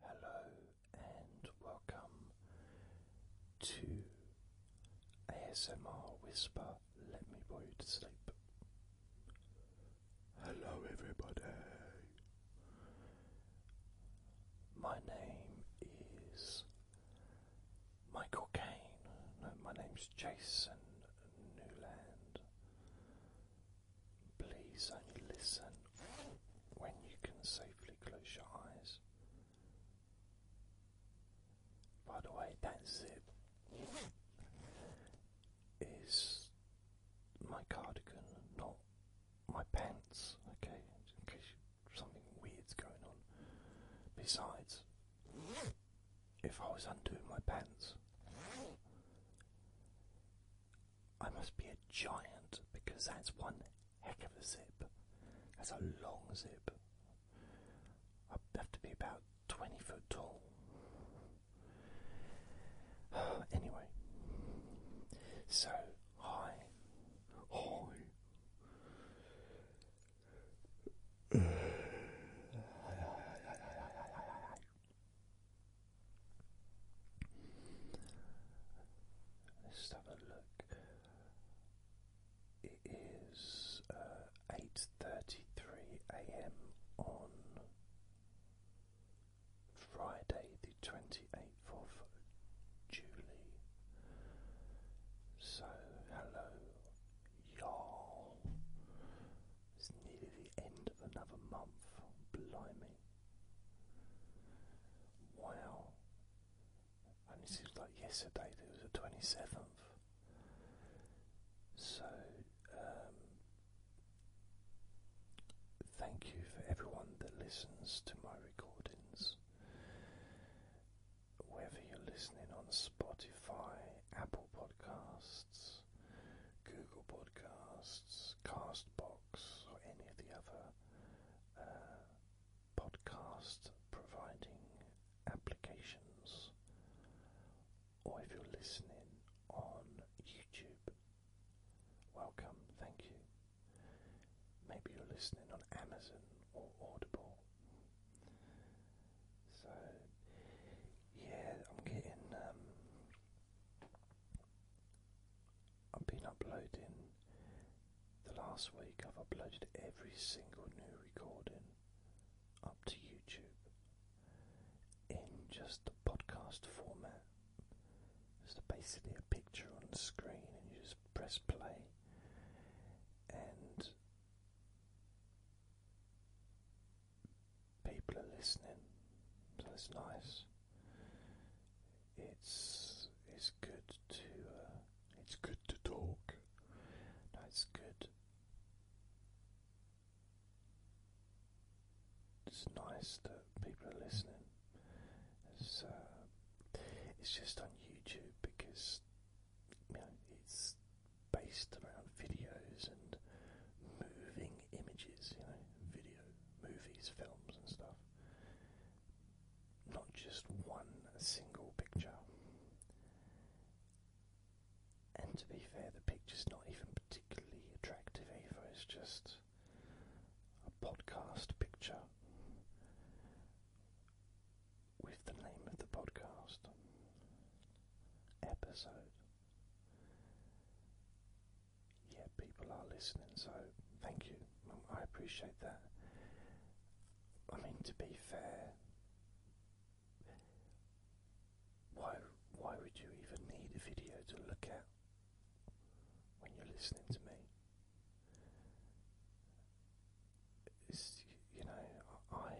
Hello and welcome to ASMR Whisper Let Me Boy You to Sleep. Hello, everybody. My name is Michael Kane. No, my name's Jason Newland. Please only listen when you can safely close your eyes. By the way, that zip is my cardigan, not my pants, okay? In case something weird's going on. Besides, if I was undoing my pants, I must be a giant because that's one heck of a zip. That's a long zip. I have to be about 20 foot tall. anyway, so hi. Hi. Let's have a look. It is uh, eight thirty-three a.m. on Friday, the twenty-eighth of July. So, hello, y'all. It's nearly the end of another month. Blimey. Wow. it seems like yesterday It was the twenty seventh. So um thank you for everyone that listens to my recordings. Whether you're listening on Spotify, Apple Podcasts, Google Podcasts, Castbox or any of the other uh, podcast providing applications, or if you're listening on YouTube, welcome, thank you. Maybe you're listening on Amazon or Audible. So, yeah, I'm getting. Um, I've been uploading the last week, I've uploaded every single new recording up to YouTube in just a podcast format. It's basically a picture on the screen, and you just press play, and people are listening, so it's nice. It's it's good to uh, it's good to talk. it's good. It's nice that people are listening. It's uh, it's just on YouTube because it's based around videos and moving images, you know, video, movies, films, and stuff not just one single picture. And to be fair, the picture's not even particularly attractive either, it's just a podcast picture with the name of the podcast episode yeah, people are listening, so thank you. Um, I appreciate that. I mean, to be fair, why why would you even need a video to look at when you're listening to me? you know, I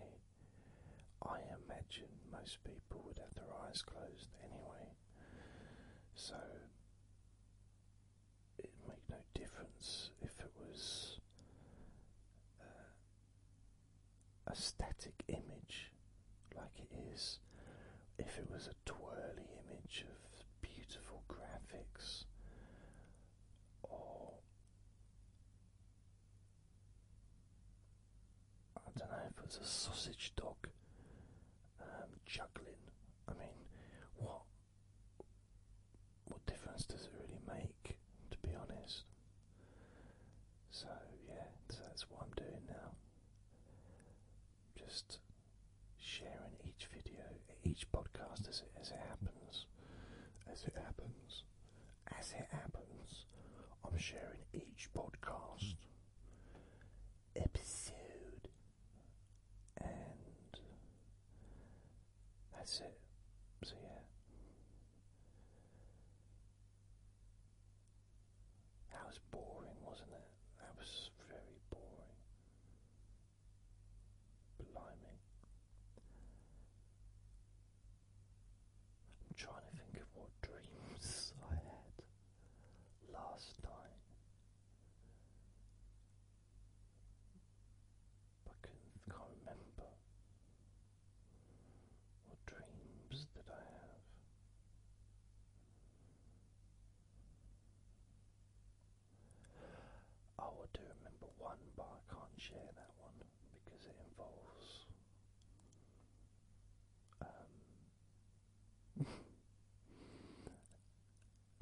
I imagine most people would have their eyes closed anyway, so it'd make no difference if it was uh, a static image like it is, if it was a twirly image of beautiful graphics or I don't know if it was a sausage dog um, juggling I mean, what what difference does it really make, to be honest? So yeah, that's what I'm doing now. Just sharing each video, each podcast as it as it happens, as it happens, as it happens. I'm sharing each podcast episode and that's it. So, yeah. That was boring, wasn't it? That was very boring. Blimey. I'm trying to think of what dreams I had last night. I can't, remember what dreams that I have. Oh, I do remember one, but I can't share that one because it involves um,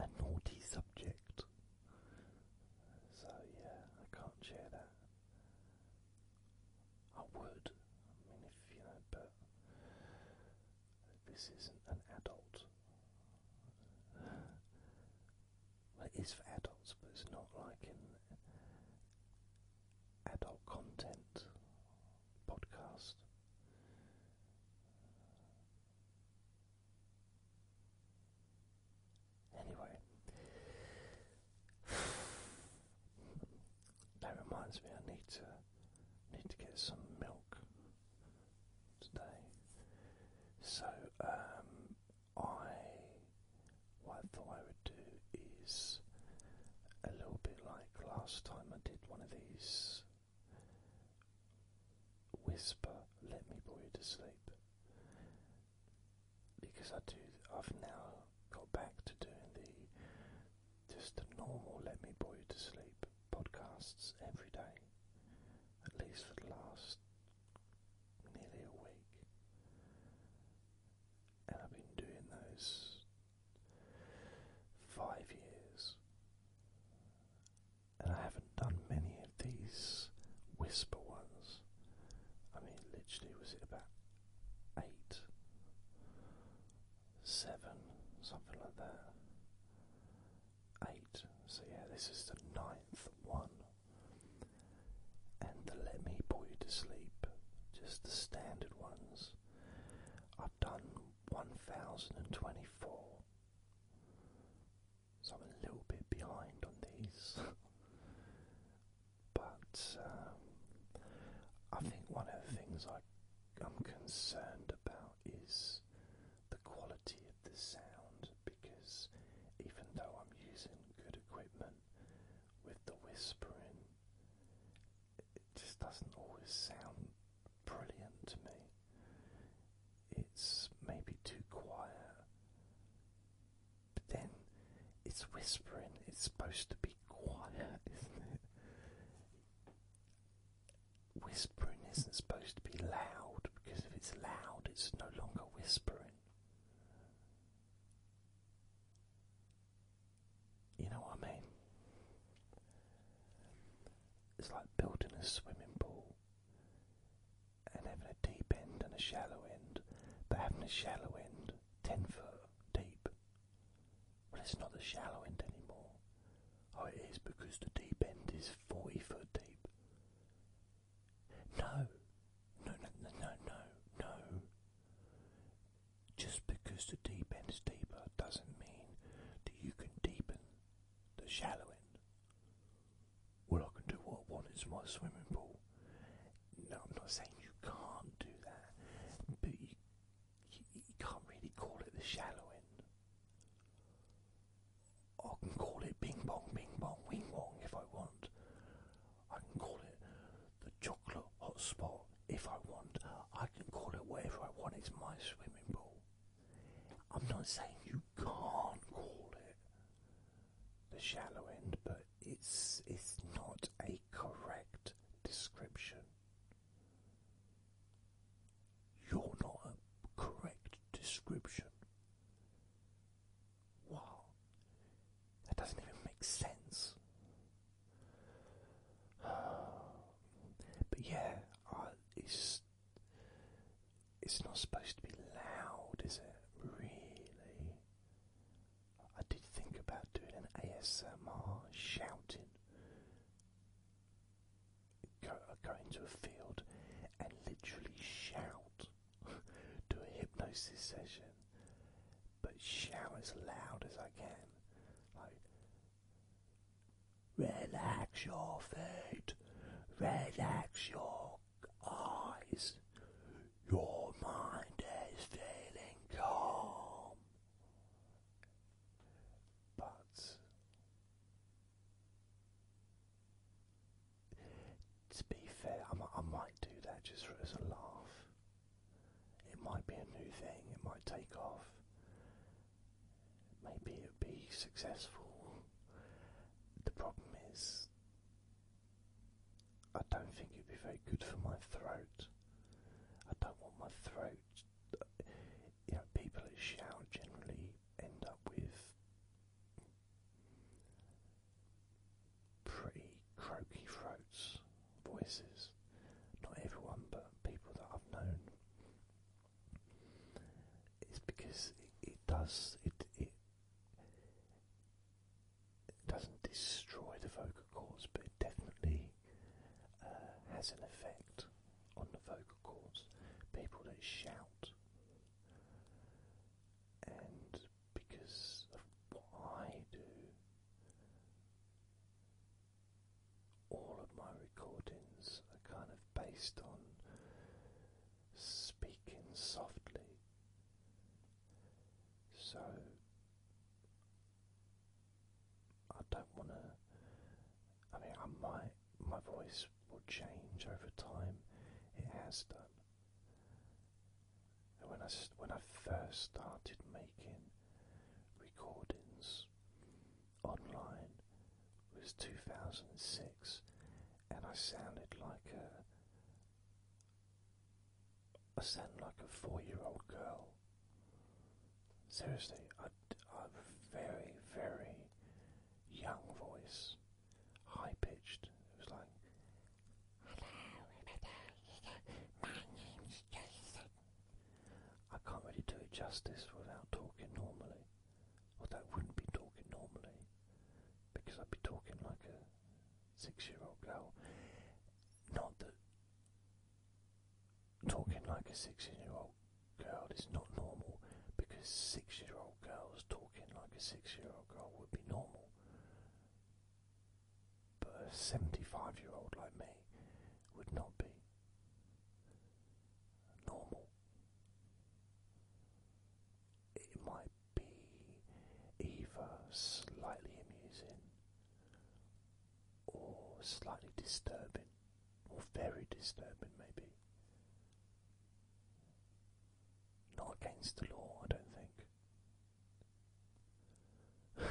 a naughty subject. So, yeah, I can't share that. I would, I mean, if you know, but this isn't an adult. Well, it is for adults, but it's not like an adult content podcast. Anyway, that reminds me I need to need to get some milk today. So um, I what I thought I would do is a little bit like last time I did one of these whisper, let me put you to sleep. Because I do, I've now got back to doing the just the normal let me put you to sleep podcasts every day, at least for the last nearly a week. And I've been doing those five years. And I haven't done many of these whisper ones. I mean, literally, was it about eight, seven, something like that? Eight. So, yeah, this is the ninth one. And the Let Me pull You to Sleep, just the standard ones. I've done 1024. So I'm a little bit behind on these. but um, I think one of the things I'm concerned about is the quality of the sound because even though I'm using good equipment with the whispering, it just doesn't always sound brilliant to me it's maybe too quiet. But then it's whispering, it's supposed to be quiet, isn't it? Whispering isn't supposed to be loud because if it's loud, it's no longer whispering. You know what I mean? It's like building a swimming pool and having a deep end and a shallow end, but having a shallow end 10 foot deep. Well, it's not the shallow end anymore. Oh, it is because the deep end is 40 foot deep. No, no, no, no, no, no, no. Just because the deep end is deeper doesn't mean that you can deepen the shallow end. Well, I can do what I want in my swimming pool. No, I'm not saying you can't do that, but you, you, you can't really call it the shallow end. I can call it ping pong, ping pong, wing wong if I want. I can call it the chocolate hot spot if I want. I can call it whatever I want. It's my swimming pool. I'm not saying you can't call it the shallow end, but it's it's not a correct description. You're not a correct description. Wow. That doesn't even make sense. But yeah, it's it's not supposed to be loud, is it? Really? I did think about doing an ASMR shouting. Go, go into a field and literally shout. Do a hypnosis session, but shout as loud as I can. Relax your feet, relax your eyes. Your mind is feeling calm. But to be fair, I might, do that just for as a laugh. It might be a new thing, it might take off maybe it would be successful. The problem is, I don't think it would be very good for my throat. I don't want my throat. You know, people that shout generally end up with pretty croaky throats, voices. Not everyone, but people that I've known is because it, does it, it doesn't destroy the vocal cords, but it definitely uh, has an effect on the vocal cords. People that shout, and because of what I do, all of my recordings are kind of based on speaking softly. So I don't want to. I mean, I might. My voice will change over time. It has done. when I when I first started making recordings, online was 2006, and I sounded like a. I sound like a four-year-old girl. Seriously, a very, very young voice, high pitched. It was like, "Hello, everybody. My name's Jason." I can't really do it justice without talking normally. Although I wouldn't be talking normally because I'd be talking like a six year old girl. Not that talking like a six year old girl is not normal because six year old girls talking like a six year old girl would be normal. But a 75 year old like me would not be normal. It might be either slightly amusing or slightly disturbing, or very disturbing, maybe. Not against the law, I don't think.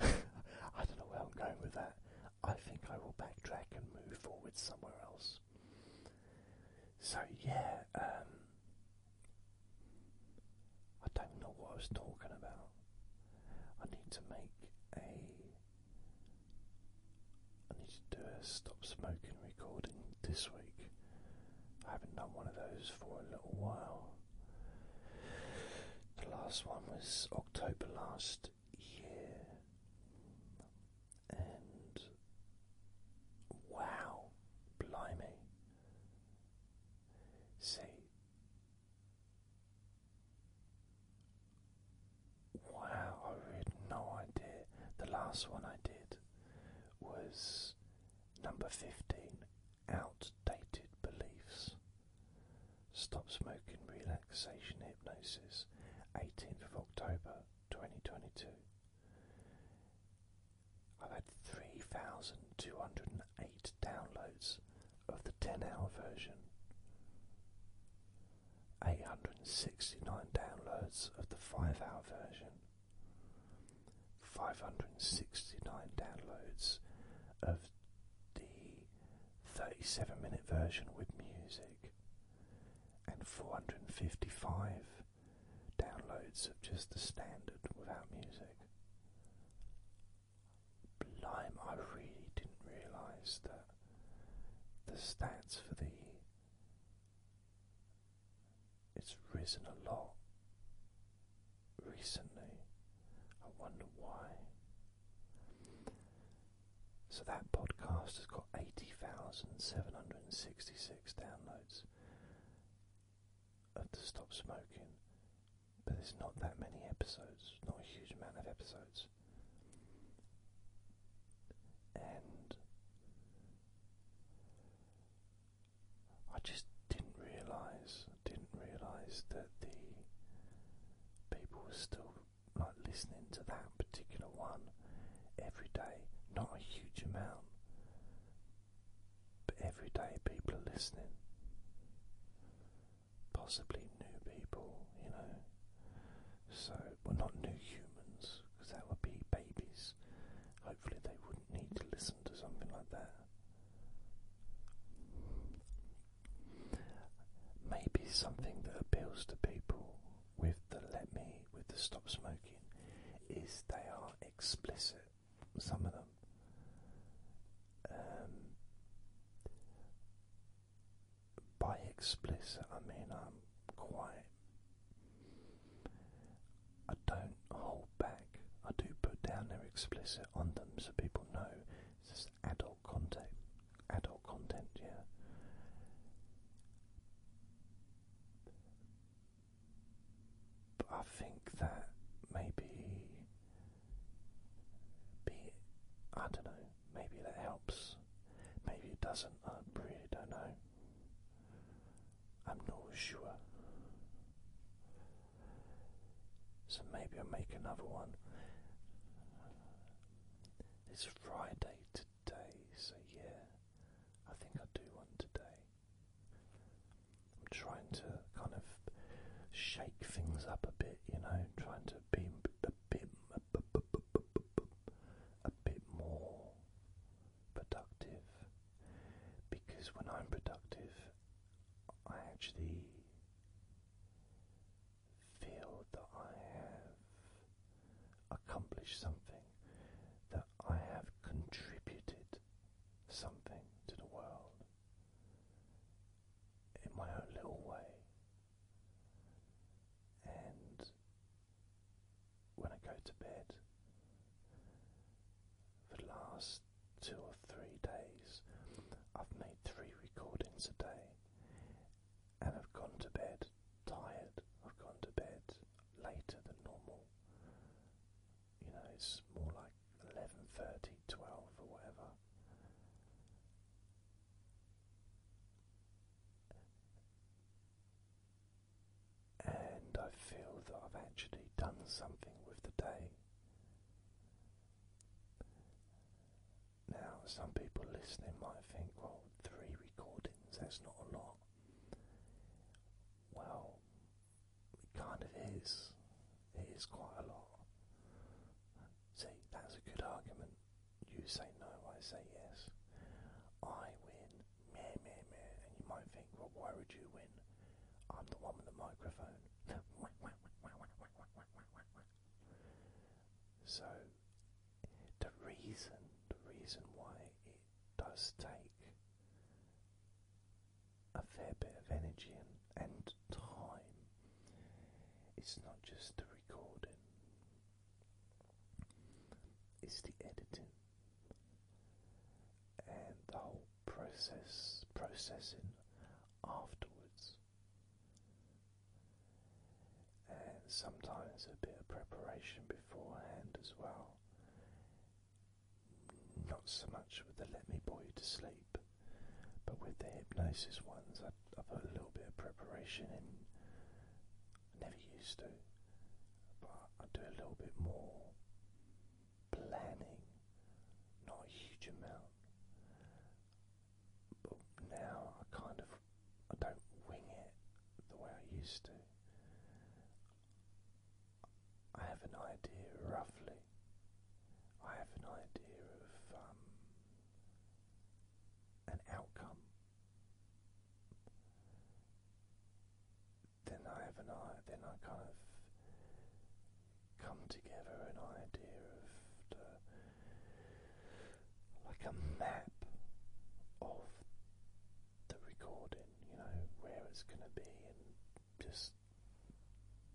I don't know where I'm going with that. I think I will backtrack and move forward somewhere else. So yeah, um, I don't know what I was talking about. I need to make a. I need to do a stop smoking recording this week. I haven't done one of those for a little while. The last one was October last year, and wow, blimey, see. Wow, I had no idea. The last one I did was number 15 Outdated Beliefs. Stop Smoking Relaxation Hypnosis, 18th of October 2022. I've had 3,208 downloads of the 10 hour version, 869 downloads of the 5 hour version, 569 downloads of the 37 minute version with music and 455 downloads of just the standard without music. Blime, I really didn't realise that the stats for the it's risen a lot recently. I wonder why. So that podcast has got 80,766 downloads of the Stop Smoking, but there's not that many episodes, not a huge amount of episodes. And I just didn't realise, didn't realise that the people were still like listening to that particular one every day, not a huge amount, but every day people are listening. Possibly new people, you know. So, we're not new humans, because that would be babies. Hopefully, they wouldn't need to listen to something like that maybe something that appeals to people with the let me, with the stop smoking, is they are explicit, some of them. Um, by explicit, I mean I'm quite. I don't hold back. I do put down their explicit on them so people know it's just adult content adult content, yeah. But I think that maybe be I don't know, maybe that helps. Maybe it doesn't, I really don't know. I'm not sure. So maybe i make another one it's Friday today, so yeah, I think I do one today. I'm trying to kind of shake things up a bit, you know, trying to be a bit, a bit more productive. Because when I'm productive, I actually feel that I have accomplished something, that I have contributed something to the world in my own little way. And when I go to bed, for the last two or three days, I've made three recordings a day, and I've gone to bed tired. I've gone to bed later than normal. You know, it's more like 11:30, 12 or whatever. And I feel that I've actually done something with the day. Now, some people listening might think, well, three recordings, that's not a lot. Well, it kind of is. It is quite a lot. See, that's a good argument. You say no, I say yes. I win. Meh, meh, meh. And you might think, well, why would you win? I'm the one with the microphone. so, the reason, the reason why it does take a fair bit of energy and, and time, it's not just the recording, it's the editing and the whole process, processing afterwards sometimes a bit of preparation beforehand as well. Not so much with the Let Me Bore You to Sleep, but with the hypnosis ones, I, I put a little bit of preparation in. I never used to, but I do a little bit more planning, not a huge amount but now I kind of I don't wing it the way I used to. I have an idea roughly. I have an idea of um, an outcome. Then I have an I. Then I kind of come together an idea of like a map of the recording, you know, where it's going to be, and just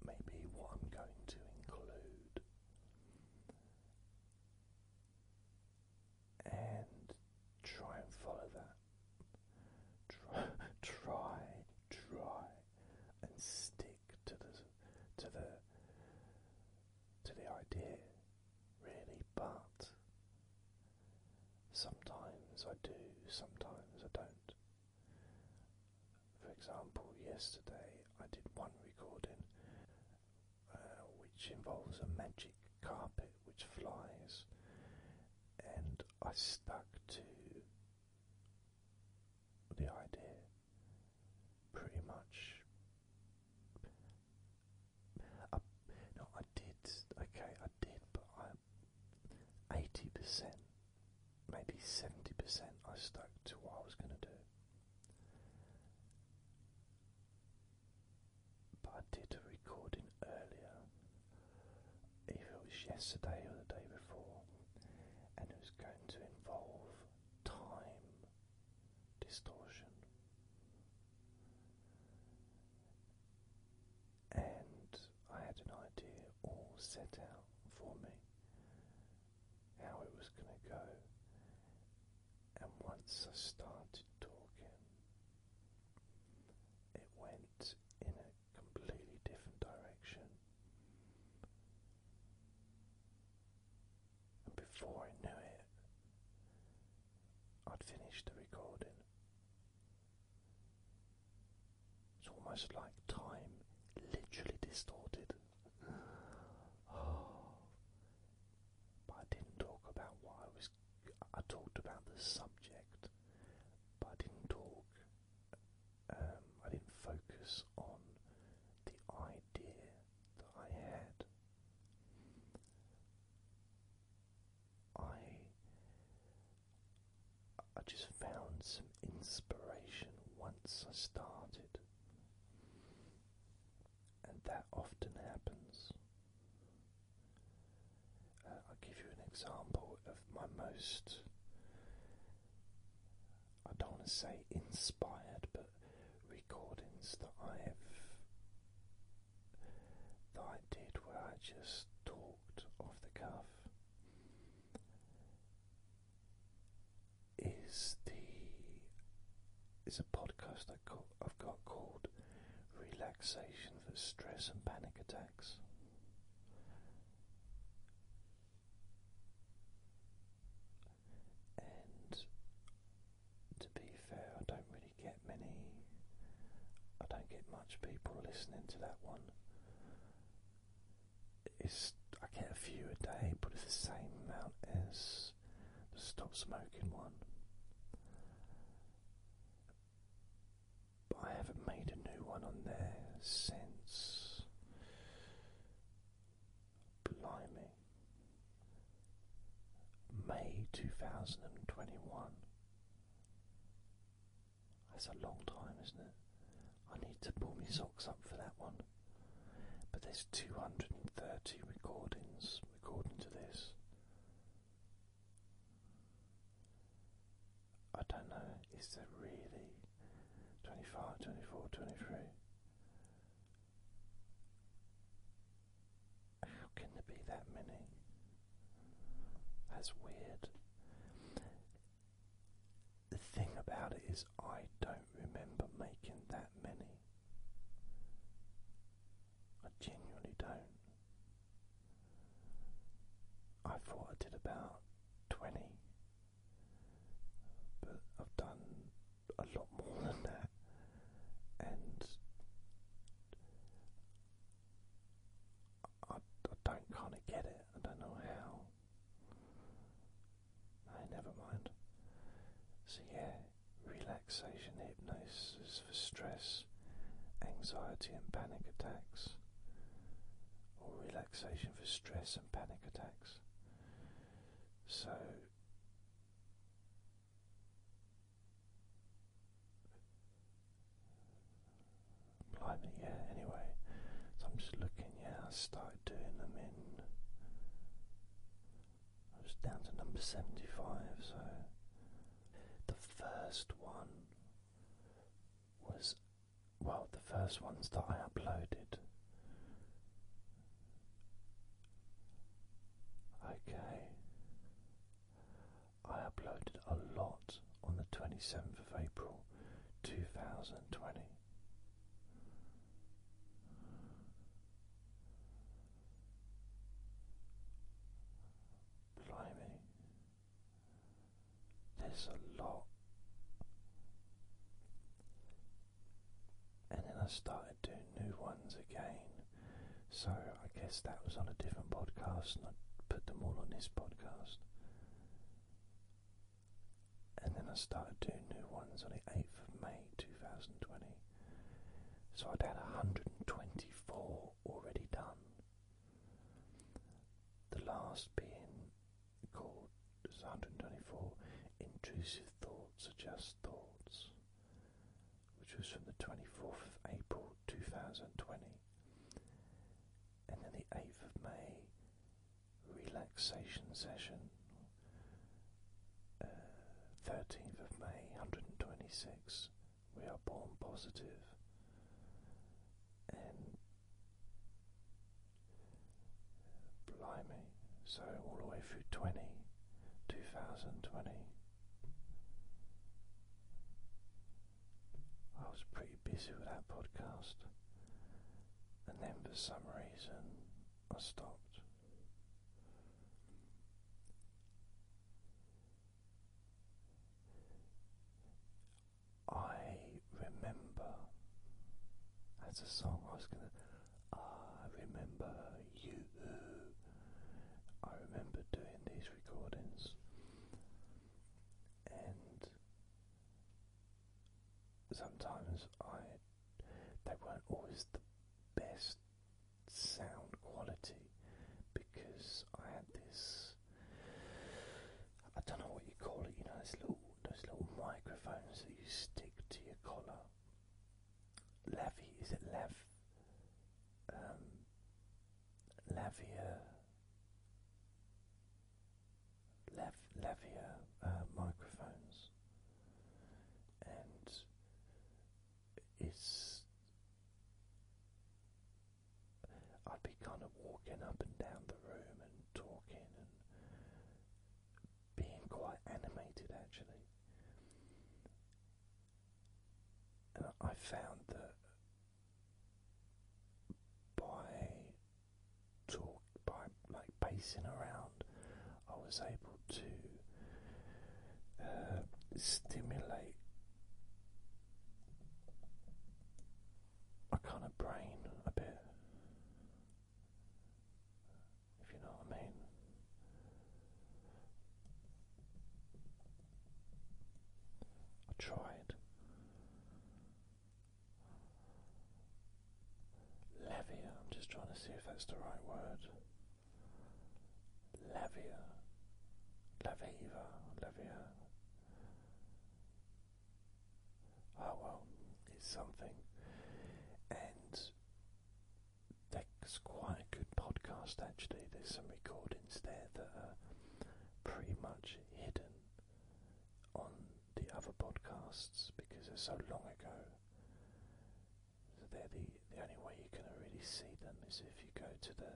maybe what I'm going to include. And try and follow that. Try, try, try, and stick to the to the to the idea really, but sometimes I do, sometimes I don't. For example, yesterday I did one recording uh, which involves a magic carpet which flies, and I stuck to the idea pretty much. I, uh, no, I did. Okay, I did, but I eighty percent, maybe seventy percent. I stuck to what I was going to do. But I did a recording earlier, if it was yesterday or the day before, and it was going to involve time distortion. And I had an idea all set out for me how it was going to go. And once I started talking, it went in a completely different direction and before I knew it, I'd finished the recording. It's almost like time literally distorted. But I didn't talk about what I was. I talked about the subject, but I didn't talk. Um, I didn't focus on the idea that I had. I I just found some inspiration once I started, and that often happens. Uh, I'll give you an example of my most, I don't want to say inspired, but recordings that I've that I did where I just talked off the cuff is the is a podcast I have got called Relaxation for Stress and Panic Attacks. And to be fair, I don't really get many. I don't get much people listening to that one. It's I get a few a day, but it's the same amount as the Stop Smoking one. But I haven't made a new one on there since Blimey. May 2021. That's a long time, isn't it? I need to pull my socks up for that one. But there's 230 recordings according to this. I don't know, is there really 25, 24, 23? How can there be that many? That's weird. The thing about it is, I don't remember making that many. I genuinely don't. I thought I did about 20, but I've done a lot more than that, and I, don't kind of get it. I don't know how. Hey, never mind. So yeah, relaxation hypnosis for stress, anxiety, and panic attacks, or relaxation for stress and panic attacks. So yeah, anyway, so I'm just looking, yeah, I started doing them in, I was down to number 75, so the first one was, well, the first ones that I uploaded Okay. I uploaded a lot on the 27th of April 2020. Blimey. There's a lot and then I started doing new ones again. So I guess that was on a different podcast, and I put them all on this podcast. And then I started doing new ones on the 8th of May 2020. So I'd had 124 already done. The last being called 124 Intrusive Thoughts or Just Thoughts which was from the 24th of April 2020, and then the 8th of May relaxation session, 13th uh, of May 126. We are born positive, and uh, blimey, so all the way through 20, 2020. I was pretty busy with that podcast, and then for some reason I stopped. I remember that's a song I was gonna. I remember you. I remember doing these recordings, and sometimes I they weren't always the best sound quality because I had this I don't know what you call it, you know, those little those microphones that you stick to your collar. Levy, is it Lev? Um, Lavia, Lav, uh, microphones, and it's. I'd be kind of walking up and down the room and talking and being quite animated actually. I found that by talk by like pacing around, I was able to uh, stimulate a kind of brain a bit if you know what I mean. I tried. Levier, I'm just trying to see if that's the right word. Levier, Leviva, Levier. Oh well, it's something. And that's quite a good podcast actually. There's some recordings there that are pretty much hidden on the other podcasts because they're so long ago. So they're the the only way you can really see them is if you go to the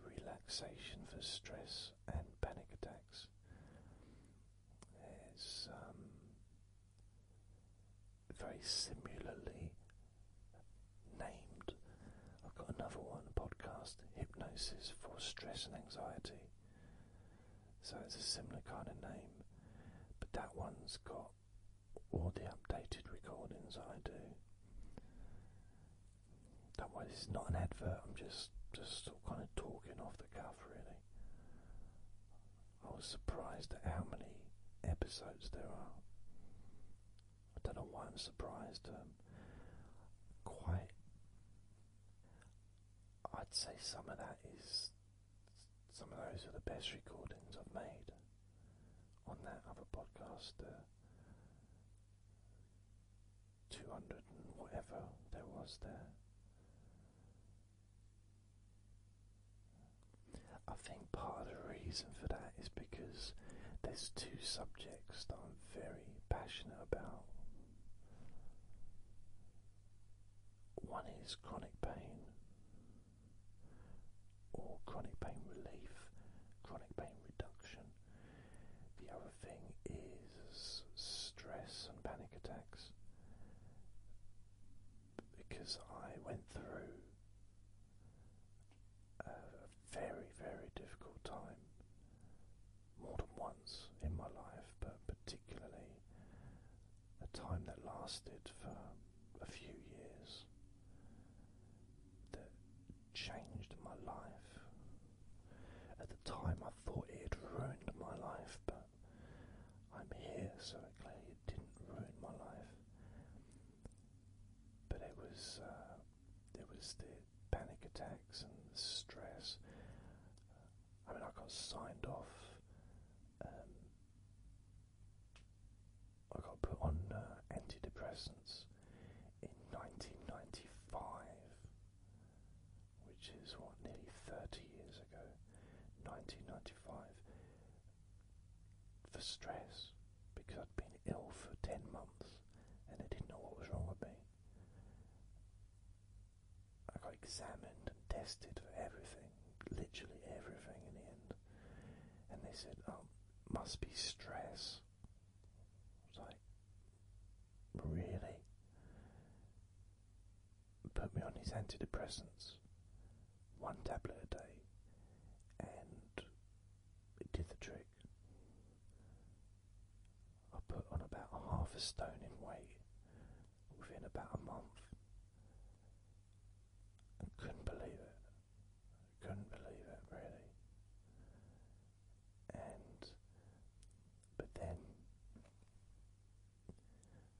relaxation for stress and panic attacks very similarly named. I've got another one, podcast, Hypnosis for Stress and Anxiety. So it's a similar kind of name, but that one's got all the updated recordings I do. That way, this is not an advert. I'm just just kind of talking off the cuff, really. I was surprised at how many episodes there are. I don't know why I'm surprised. Um, quite. I'd say some of that is. Some of those are the best recordings I've made on that other podcast. Uh, 200 and whatever there was there. I think part of the reason for that is because there's two subjects that I'm very passionate about. One is chronic pain or chronic pain relief, chronic pain reduction. The other thing is stress and panic attacks because I went through a very, very difficult time more than once in my life, but particularly a time that lasted for a few years that changed my life. At the time, I thought it had ruined my life, but I'm here, so it clearly didn't ruin my life. But it was uh, it was the panic attacks and the stress. I mean, I got signed off. Um, I got put on uh, antidepressants in 1995, which is what nearly 30 years ago. 1995 for stress because I'd been ill for 10 months and they didn't know what was wrong with me. I got examined and tested for everything, literally everything in the end. And they said, oh, must be stress. I was like, really? Put me on these antidepressants one tablet a day, and it did the trick. I put on about half a stone in weight within about a month and couldn't believe it. Couldn't believe it really. And but then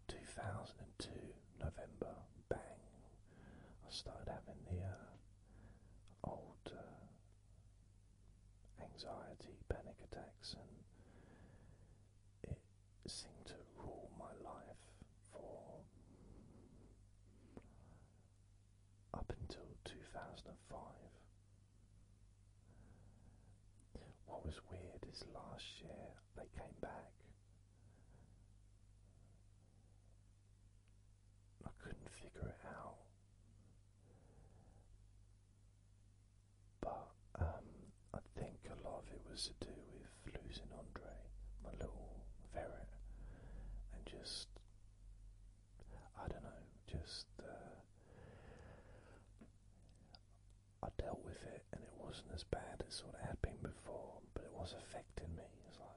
2002 November, bang, I started having the uh, old uh, anxiety, panic attacks, and it seemed to rule my life for up until 2005. What was weird is last year they came back. I couldn't figure it out. But um, I think a lot of it was to do with losing Andre, my little ferret, and just I don't know, just uh, I dealt with it, and it wasn't as bad as what it had been before, but it was affecting affecting me. It's like,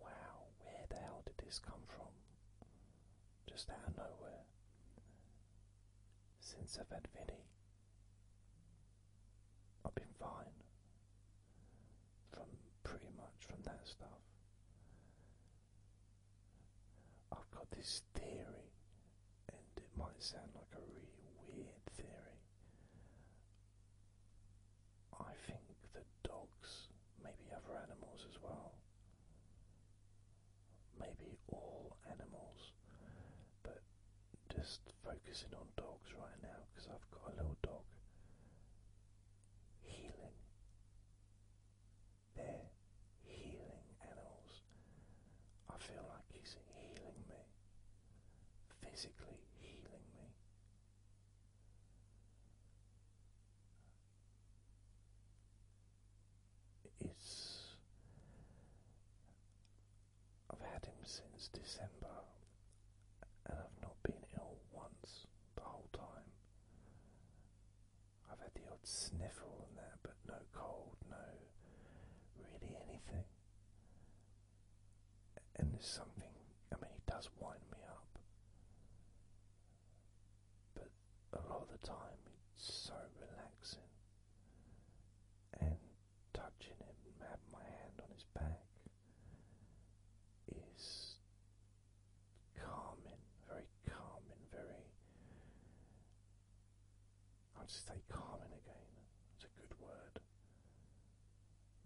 wow, where the hell did this come from? Just out of nowhere. Since I've had Vinny, I've been fine from pretty much from that stuff. I've got this theory, and it might sound like a really weird theory. I think that dogs, maybe other animals as well, maybe all animals, but just focusing on dogs right now because I've got a little dog. Healing. They're healing animals. I feel like he's healing me, physically healing me. It's. I've had him since December and I've not been ill once the whole time. I've had the odd sniffle and that, but no cold, no really anything and there's something, I mean, he does wind me up, but a lot of the time it's so relaxing. And touching him, having my hand on his back, is calming, very calming, very. i will just say calming again, it's a good word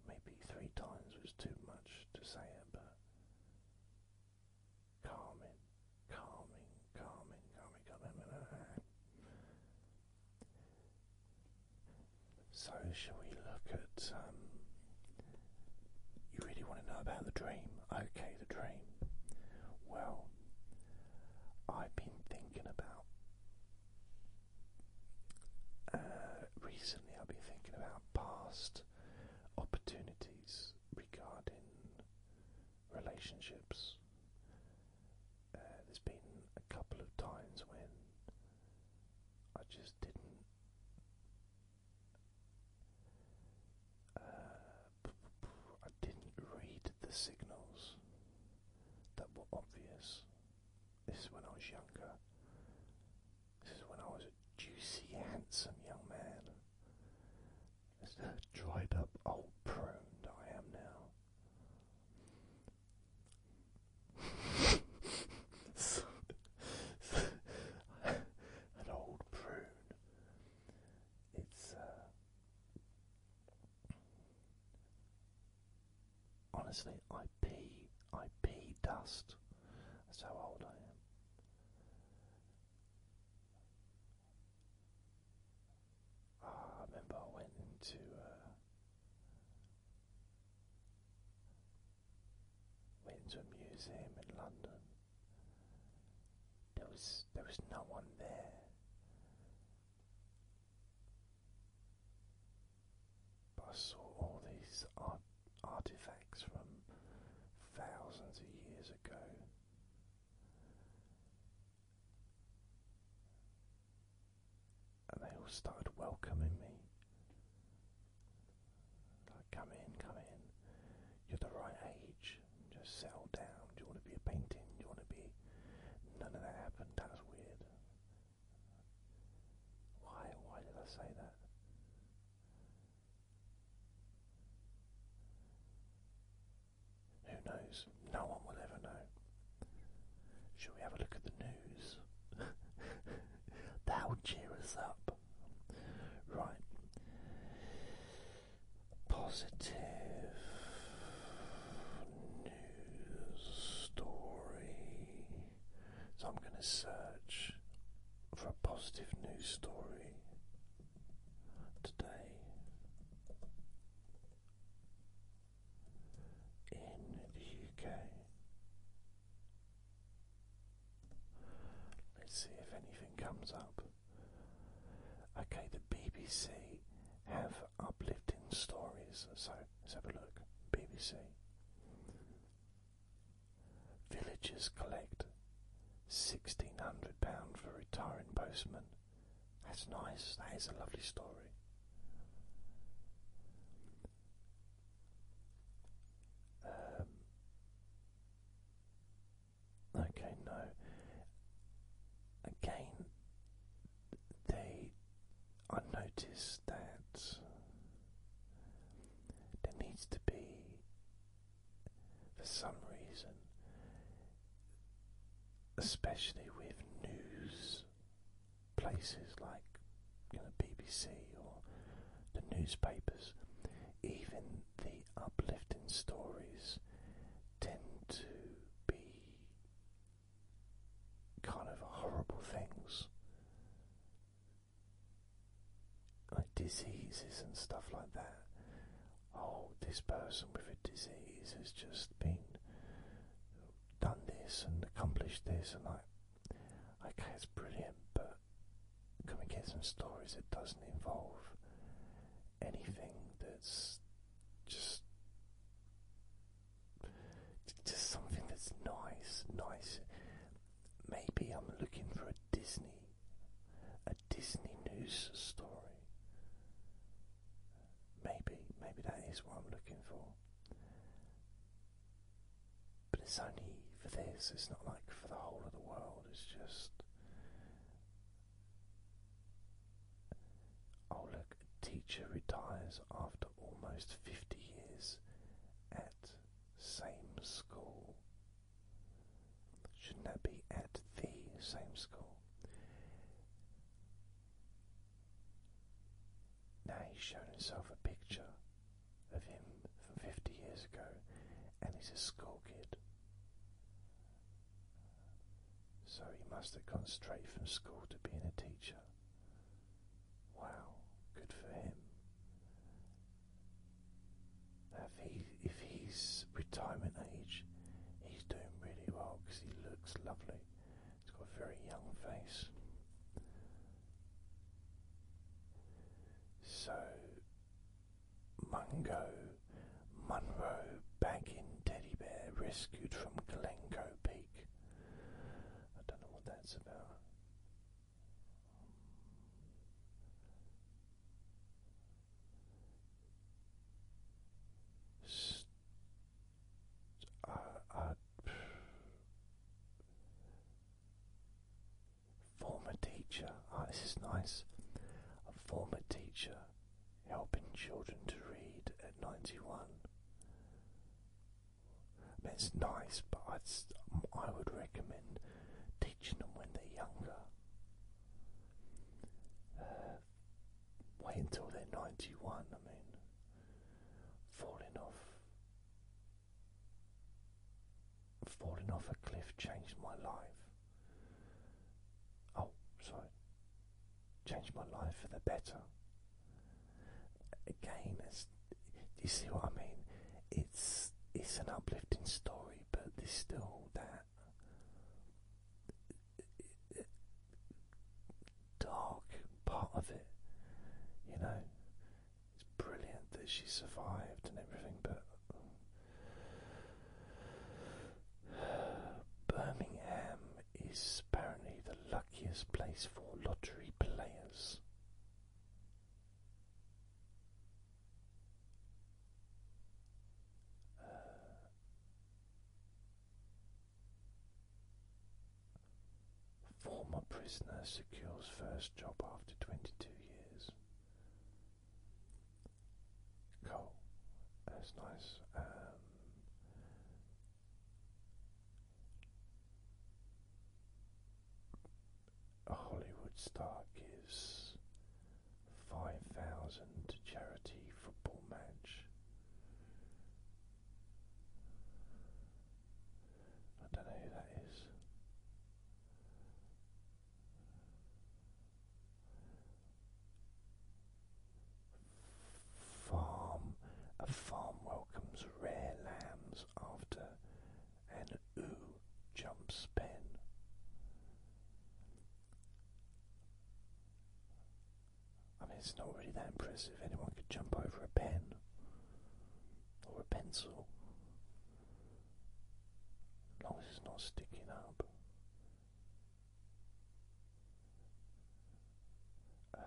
maybe three times was too much to say it, but calming, calming, calming, calming, So, shall we look at? Um, you really want to know about the dream? Okay, the dream. Well, I've been thinking about uh, recently I've been thinking about past opportunities regarding relationships. Uh, there's been a couple of times when I just didn't uh, I didn't read the signals that were obvious this is when I was younger. This is when I was a juicy, handsome young man. It's the dried up old prune I am now. an old prune. It's uh, honestly, I pee, I pee dust. That's how old I am. Oh, I remember I went into. Uh, went into a museum in London. There was there was no one there. But I saw all these artifacts from thousands of years ago. And they all started welcoming me. Like, come in, come in. You're the right age. Just settle down. Do you want to be a painting? Do you want to be. None of that happened. That was weird. Why? Why did I say that? Who knows? No one will ever know. Shall we have a look at the news? that would cheer us up. Right. Positive news story. So I'm going to search for a positive news story today in the UK. Let's see if anything comes up. Okay, the BBC have uplifting stories, so let's have a look. BBC. Villagers collect £1,600 for retiring postman. That's nice, that is a lovely story. Um, okay, no. Again, they I notice that there needs to be, for some reason, especially with news places like you BBC or the newspapers, even the uplifting stories tend to be kind of horrible things like diseases and stuff like that. Oh, this person with a disease has just been done this and accomplished this, and I, okay, it's brilliant, but can we get some stories that doesn't involve anything that's just just something that's nice, nice. Maybe I'm looking for a Disney, a Disney news story. Maybe, maybe that is what I'm looking for. But it's only for this, it's not like for the whole of the world, it's just. Oh, look, a teacher retires after almost 50 years at same school? Shouldn't that be at the same school? Now he's shown himself a picture of him from 50 years ago and he's a school kid. So he must have gone straight from school to being a teacher. Wow, good for him. If, he, if he's retirement age, he's doing really well because he looks lovely. He's got a very young face. So, Mungo, Munro, bagging teddy bear rescued from Glencoe Peak. I don't know what that's about. I, former teacher, ah, this is nice. A former teacher helping children to read at 91. I it's nice, but I'd, I would recommend teaching them when they're younger. Uh, wait until they're 91, I mean, falling off. Falling off a cliff changed my life. Oh, sorry. Changed my life for the better. Again, do you see what I mean? It's it's an uplifting story, but there's still that dark part of it. You know, it's brilliant that she survived and everything, but. Birmingham is apparently the luckiest place for lottery players. Uh, former prisoner secures first job after 22 years. Cool, that's nice. Um, a Hollywood star gives five thousand charity football match. I don't know who that is. Farm a farm welcomes rare lambs comes after an oo jumps pen. I mean, it's not really that impressive. Anyone could jump over a pen or a pencil. As long as it's not sticking up. Uh,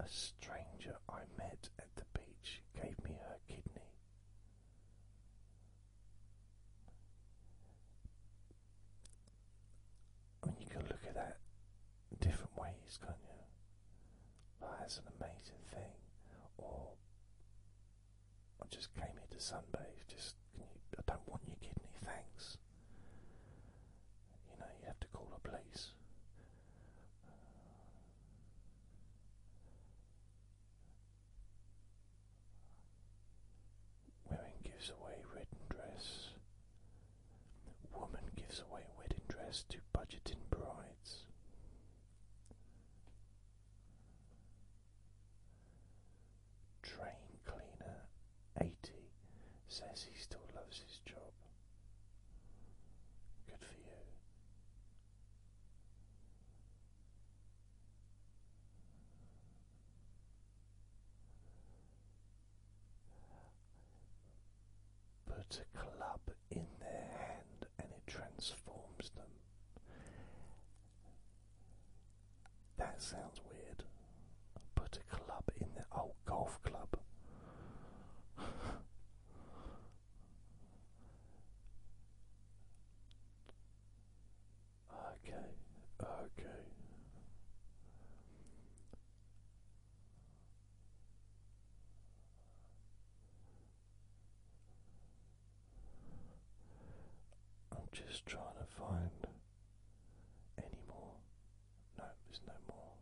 a stranger I met at the beach gave me her kidney. I mean, you can look at that different ways, can't you? that's an amazing thing. Or, I just came here to sunbathe. Just, I don't want your kidney, thanks you know, you have to call the police. Uh, gives away wedding dress. Woman gives away wedding dress to budgeting brides. Train cleaner 80 says he still loves his job. Good for you. Put a club in their hand and it transforms them. That sounds weird. Put a club in their. Oh, golf club. okay, okay. I'm just trying to find any more no, there's no more.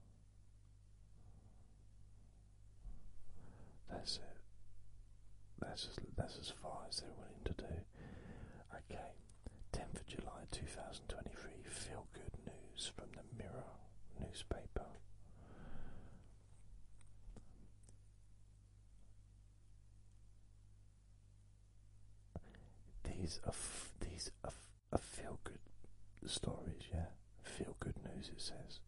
That's it. That's as, that's as far as they're willing to do. Okay, 10th of July 2023, feel good news from the Mirror newspaper. These are, these are a feel good stories, yeah, feel good news. It says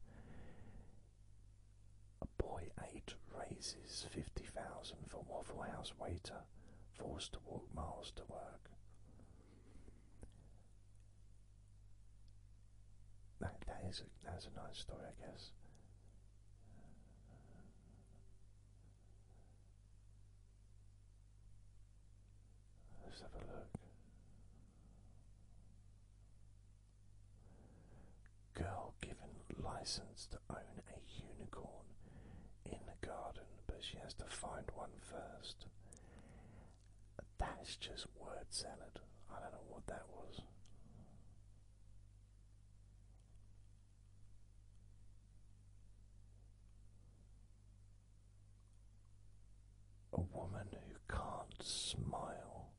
a boy eight raises fifty thousand for Waffle House waiter forced to walk miles to work. That that is that's a nice story, I guess. Let's have a look. Girl given license to own a unicorn in the garden, but she has to find one first. That's just word salad. I don't know what that was. A woman who can't smile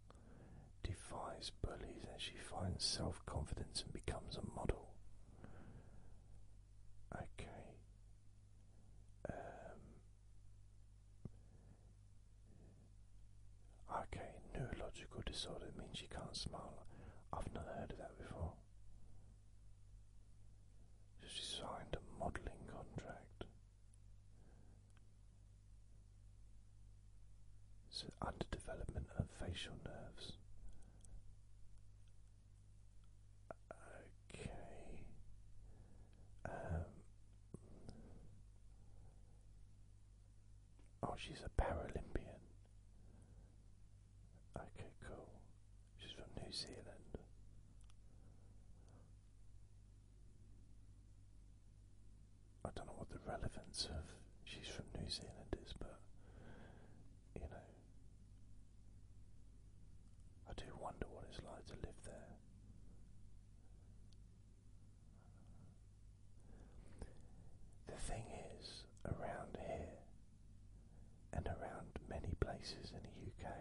defies bullies and she finds self confidence and becomes a model. Okay. Um, okay, neurological disorder means you can't smile. I've not heard of that before. She signed a modelling contract. So, underdevelopment of facial nerves. Okay. Um, oh, she's a Paralympian. Okay, cool she's from New Zealand. I don't know what the relevance of she's from New Zealand is, but you know, I do wonder what it's like to live there. The thing is, around here and around many places in the UK,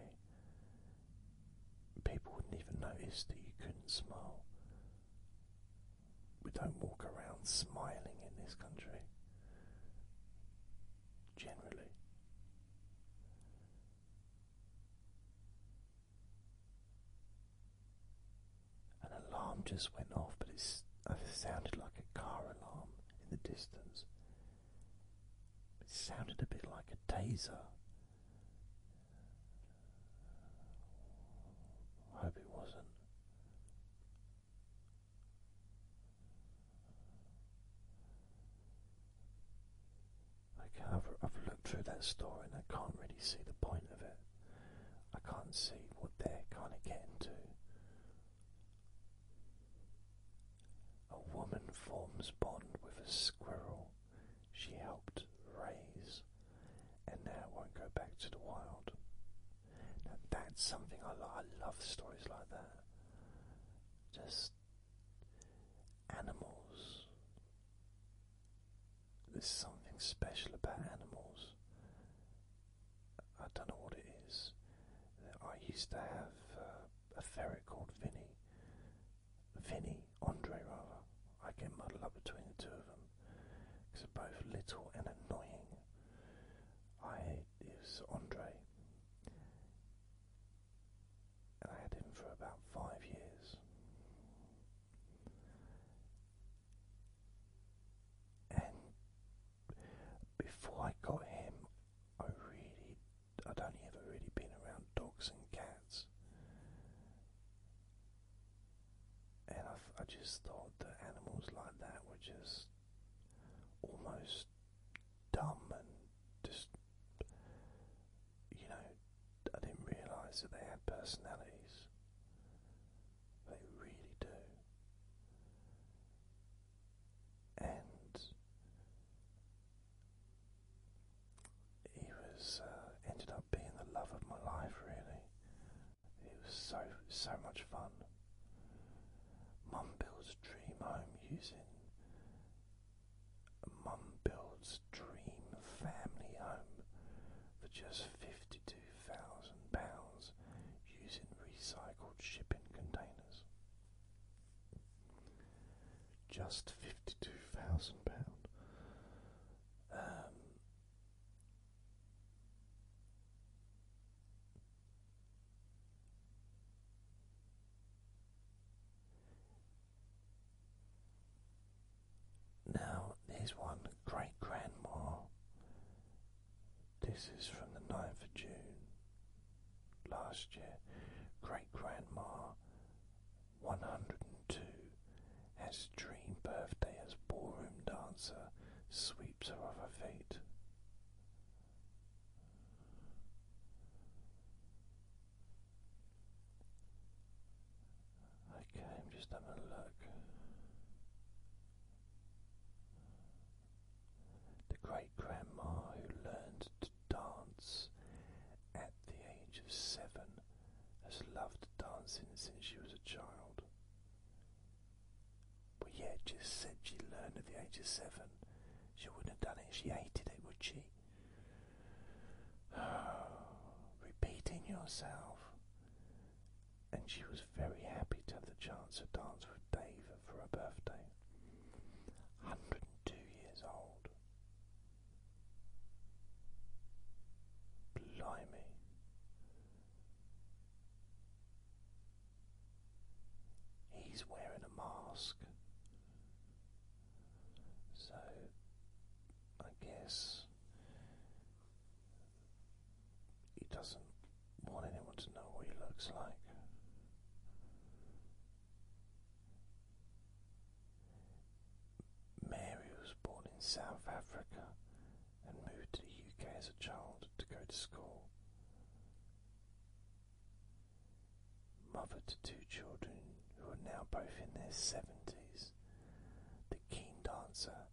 people wouldn't even notice that you couldn't smile. We don't walk around smiling in this country, generally. An alarm just went off, but it uh, sounded like a car alarm in the distance. It sounded a bit like a taser. I hope it wasn't. I've looked through that story and I can't really see the point of it. I can't see what they're kind of getting to a woman forms bond with a squirrel she helped raise and now won't go back to the wild. that's something I love. stories like that. Just animals. There's something special about animals. I don't know what it is. I used to have uh, a ferret called Vinny Vinny, Andre rather, I get muddled up between the two of them because they're both little and annoying. I it was Andre, and I had him for about five years, and before I got him, I really I'd only ever really been around dogs and cats, and I, just thought that animals like that were just almost dumb and just you know I didn't realise that they had personalities. They really do. And he was uh, ended up being the love of my life. Really, it was so so much fun. Mum builds dream home using Mum builds dream family home for just fifty two thousand pounds using recycled shipping containers. Just fifty-two thousand thousand pound. Um, now, here's one great grandma. This is from the 9th of June last year. Great grandma 102 as dream birthday as ballroom dancer sweeps her off her feet. Okay, just having a look. The great grandma who learned dance at the age of seven, has loved dancing since she was a child. But yet, just said she learned at the age of seven. She wouldn't have done it she hated it, would she? Repeating yourself. And she was very happy to have the chance to dance with David for her birthday. 102 years old. Blimey. He's wearing a mask. So I guess he doesn't want anyone to know what he looks like. Mary was born in South Africa and moved to the UK as a child to go to school. Mother to two children who are now both in their 70s. The keen dancer.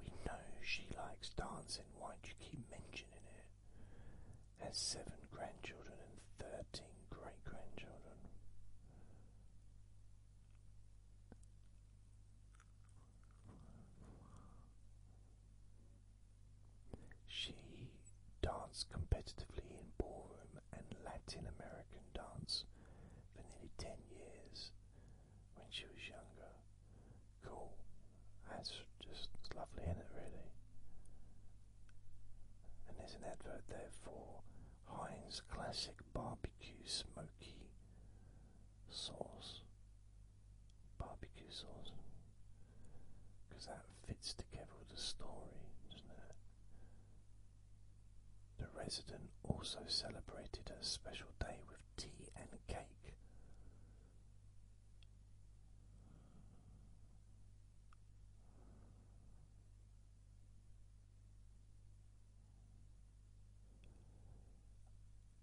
We know she likes dancing, why do you keep mentioning it? has seven grandchildren and thirteen great grandchildren. She danced competitively in ballroom and Latin American dance for nearly 10 years when she was younger. Cool. That's just lovely, isn't it, really? and there's an advert there for Heinz Classic Barbecue Smoky Sauce. Barbecue sauce. Because that fits together with the story, doesn't it? The resident also celebrated a special day with tea and cake.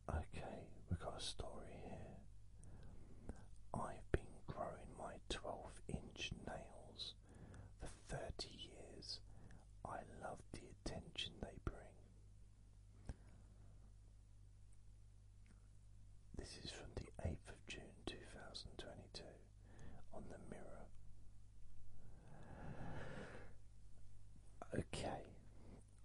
Okay, we got a story here. I've been growing my 12 inch nails for 30 years. I love the attention they bring. This is from the 8th of June 2022 on the mirror. Okay,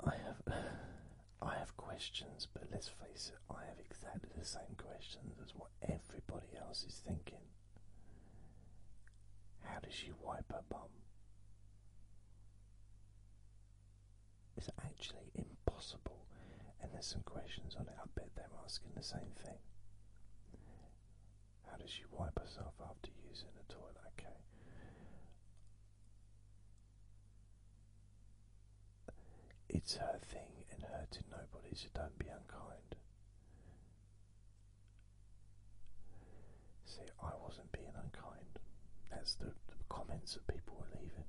I have I have questions, but let's face it, I have exactly the same questions as what everybody else is thinking. How does she wipe her bum? Is it actually impossible and there's some questions on it. I bet they're asking the same thing. How does she wipe herself after using the toilet? Okay. It's her thing and hurting nobody, so don't be unkind. See, I wasn't being unkind. That's the, the comments that people were leaving.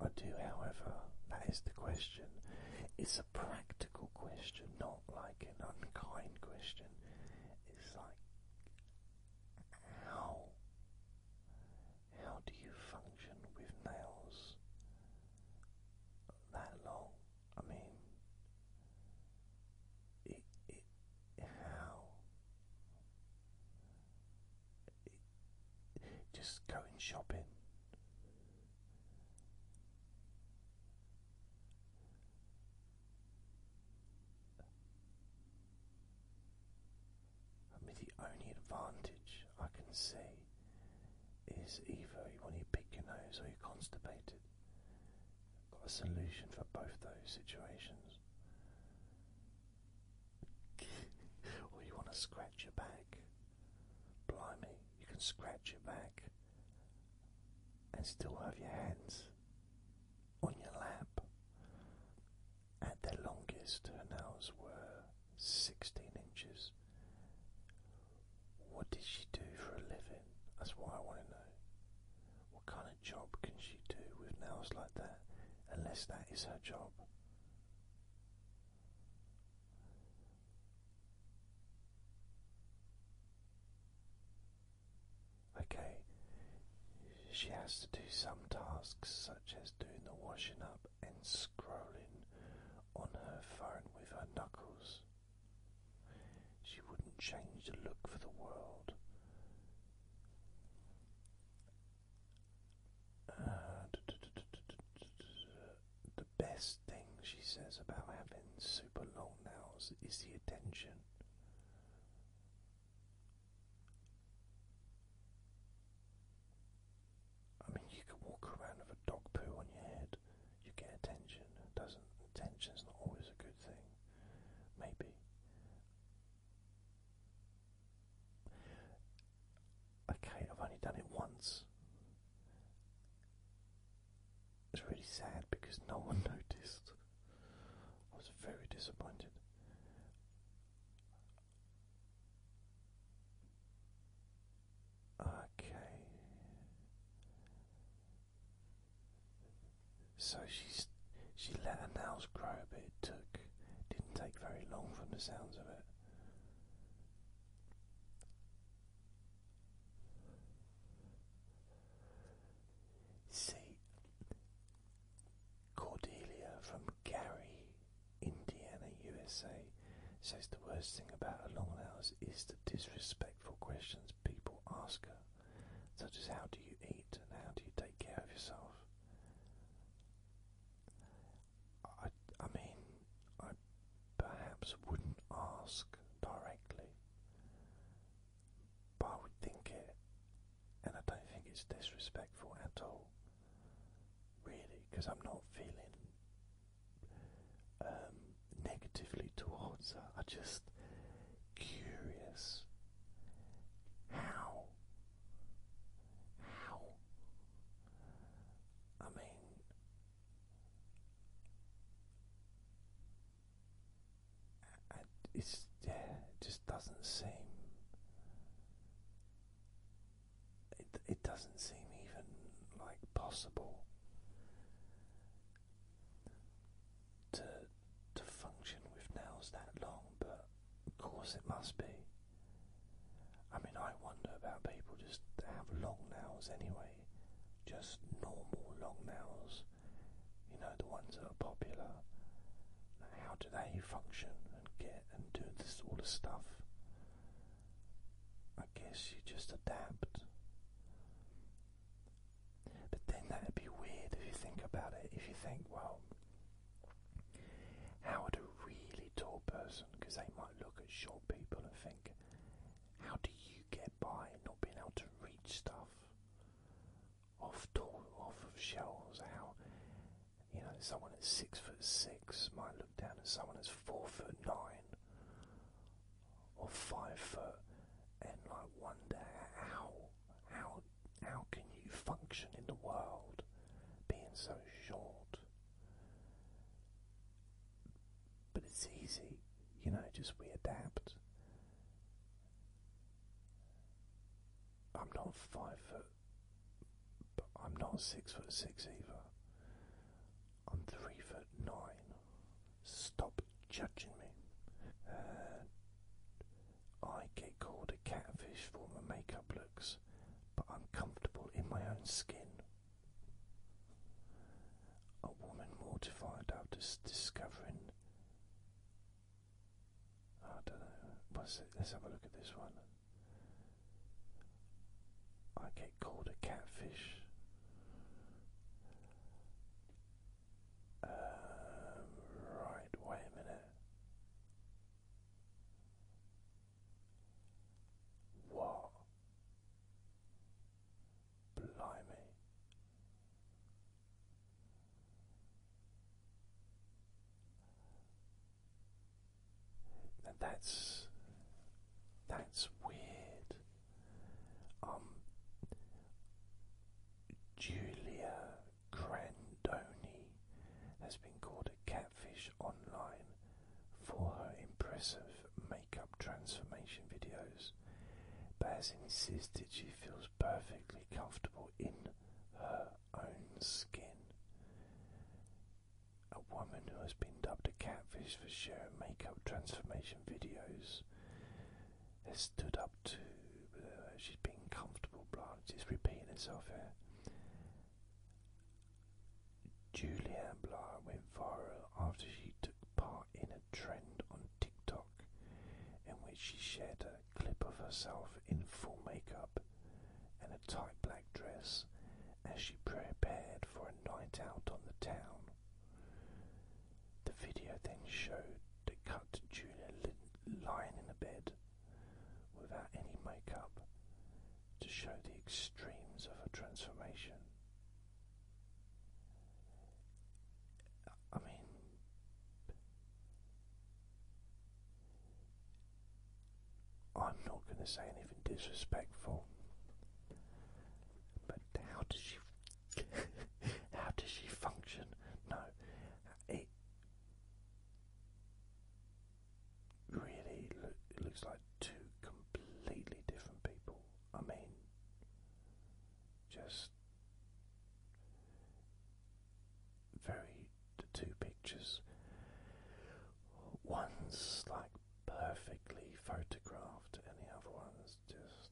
I do, however, that is the question. It's a practical question, not like an unkind question. It's like, how, how do you function with nails that long? I mean, it, it, how? just going shopping. I mean, the only advantage I can see is either when you pick your nose or you're constipated. got a solution for both those situations or you want to scratch your back. Blimey, you can scratch your back and still have your hands on your lap. At their longest, her nails were 16 inches. What did she do for a living? That's what I want to know. What kind of job can she do with nails like that unless that is her job? Okay, she has to do some tasks such as doing the washing up and scrolling on her phone with her knuckles. She wouldn't change the look for the world. Uh, the best thing she says about having super long nails is the attention. I mean, you could walk around with a dog poo on your head, you get attention. doesn't attention's not always a good thing. Maybe okay, I've only done it once. It's really sad because no one noticed. I was very disappointed. Okay. So she's she let her nails grow, but it took didn't take very long from the sounds of it. See Cordelia from Gary, Indiana, USA says the worst thing about her long nails is the disrespectful questions people ask her, such as how do you eat and how do you take care of yourself. I, I mean, I perhaps wouldn't ask directly, but I would think it, and I don't think it's disrespectful at all, really, because I'm not feeling um, negatively towards her. I am just curious how how? I mean, it's yeah, it just doesn't seem. It it doesn't seem even like possible to to function with nails that long, but of course it must be. I mean, I wonder about people just have long nails anyway, just normal long nails, you know, the ones that are popular. How do they function and get and do this all the stuff? I guess you just adapt. But then that'd be weird if you think about it. If you think, well, how would a really tall person, because they might look at short people and think, how do you get by not being able to reach stuff off tall, off of shelves? How, you know, someone at six foot six might look down at someone that's four foot nine or five foot, and like wonder how how how can you function in the world being so short? But it's easy, you know, just we adapt. I'm not five foot, but I'm not six foot six either. I'm three foot nine. Stop judging me. Uh, I get called a catfish for my makeup looks, but I'm comfortable in my own skin. A woman mortified after discovering. I don't know. What's it? Let's have a look at this one. I get called a catfish. Um, right, wait a minute. What? Blimey. that's that's weird. Um Julia Grandoni has been called a catfish online for her impressive makeup transformation videos, but has insisted she feels perfectly comfortable in her own skin. A woman who has been dubbed a catfish for sharing makeup transformation videos has stood up to whatever. Uh, she's being comfortable, blah, She's repeating herself here. Julianne Blah went viral after she took part in a trend on TikTok in which she shared a clip of herself in full makeup and a tight black dress as she prepared for a night out on the town. The video then showed the cut Julia lying in a bed without any makeup to show the extremes of a transformation. I mean, I'm not going to say anything disrespectful, but how does she, how does she function? No, really it looks like two completely different people. I mean, just very two pictures. One's like perfectly photographed, and the other one's just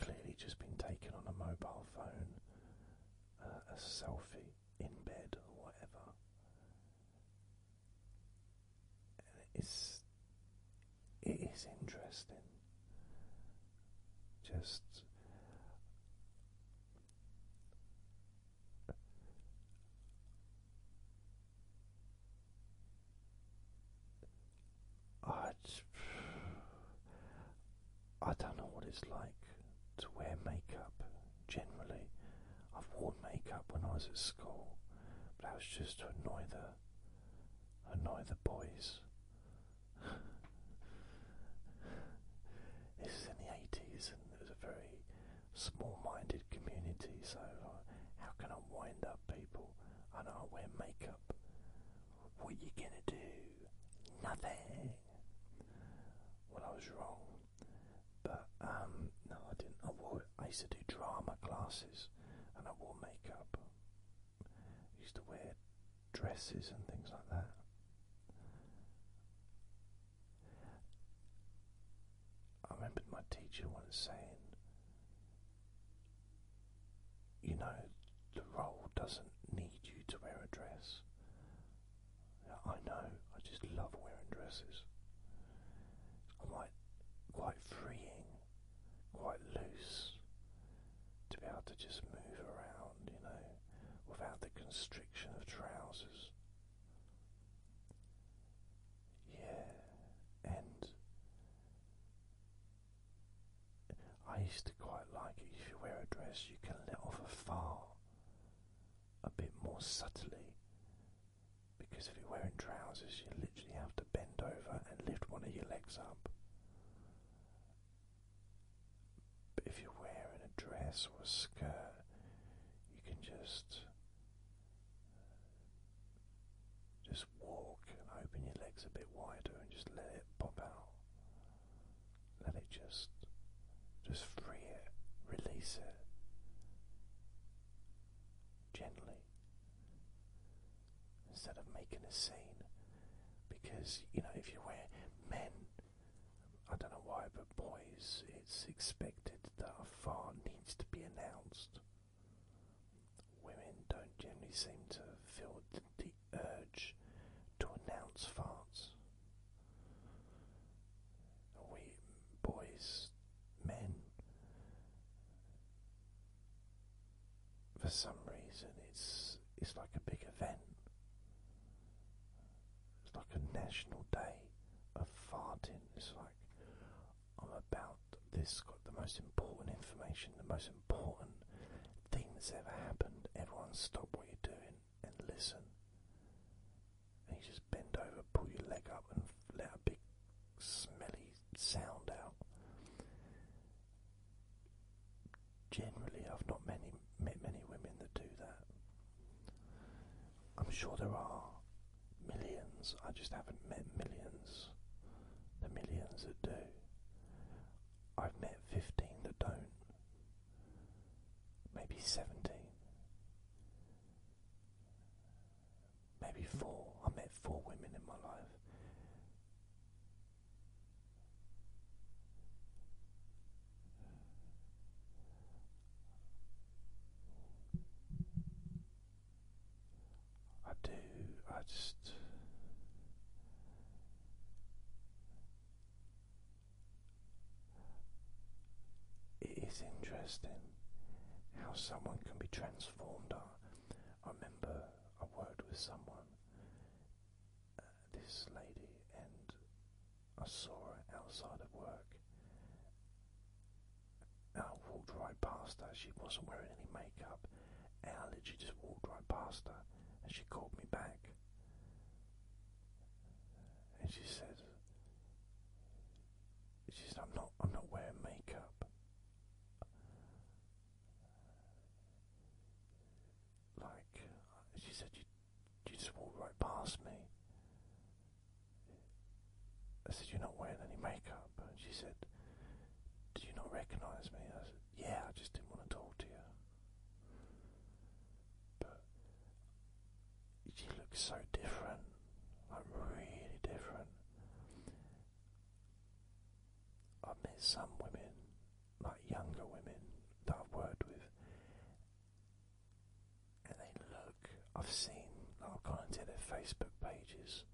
clearly just been taken on a mobile phone, uh, a selfie in bed or whatever. it's it is interesting. Just I, I don't know what it's like to wear makeup generally. I've worn makeup when I was at school, but I was just to annoy the annoy the boys. this is in the eighties and it was a very small minded community, so how can I wind up people? I know I wear makeup. What are you gonna do? Nothing when I was wrong. But um, no, I didn't. I wore. I used to do drama classes, and I wore makeup. used to wear dresses and things like that. I remember my teacher once saying, "You know, the role doesn't need you to wear a dress. I know, I just love wearing dresses. quite, quite freeing, quite loose to be able to just move around, you know, without the constriction of trousers. Yeah, and I used to quite like it. If you wear a dress, you can let off a fart a bit more subtly. Because if you're wearing trousers, you literally have to bend over and lift one of your legs up. But if you're wearing a dress or a skirt, you can just just walk and open your legs a bit wider and just let it pop out let it just just free it, release it gently instead of making a scene because you know if you wear men I don't know why but boys it's expected that a fart needs to be announced women don't generally seem to feel the urge to announce farts. We boys, men, for some reason, it's it's like a big event. It's like a national day of farting. It's like I'm about this got the most important information, the most important thing that's ever happened. Everyone, stop what you're doing and listen. And you just bend over, pull your leg up, and let a big smelly sound out. Generally, I've not many met many women that do that. I'm sure there are millions. I just haven't met millions. The millions that do. I've met fifteen that don't maybe seventeen, maybe four. I met four women in my life. I do, I just it is interesting how someone can be transformed. I, I remember I worked with someone, uh, this lady, and I saw her outside of work. I walked right past her. She wasn't wearing any makeup, and I literally just walked right past her, and she called me back and she said, "She said I'm not, I'm not wearing makeup. Like she said, you, you just walked right past me." I said, are not wearing any makeup," and she said, "Do you not recognise me?" I said, "Yeah, I just didn't want to talk to you." but you look so different, like really different. I've met some women, like younger women that I've worked with, and they look. I've seen, I've gone into their Facebook pages.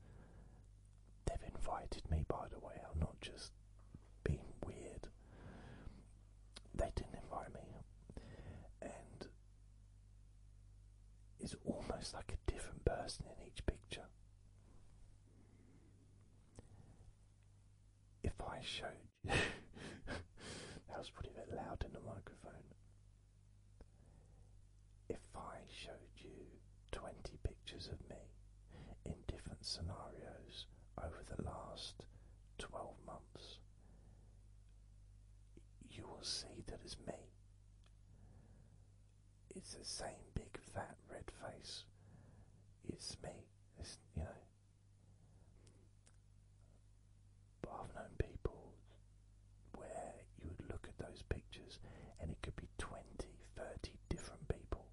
They've invited me, by the way. I'm not just being weird they didn't invite me, and it's almost like a different person in each picture. If I showed you, that was probably bit loud in the microphone. If I showed you 20 pictures of me in different scenarios over the last 12 months you will see that it's me. It's the same big fat red face. It's me. you know. But I've known people where you would look at those pictures and it could be 20, different people.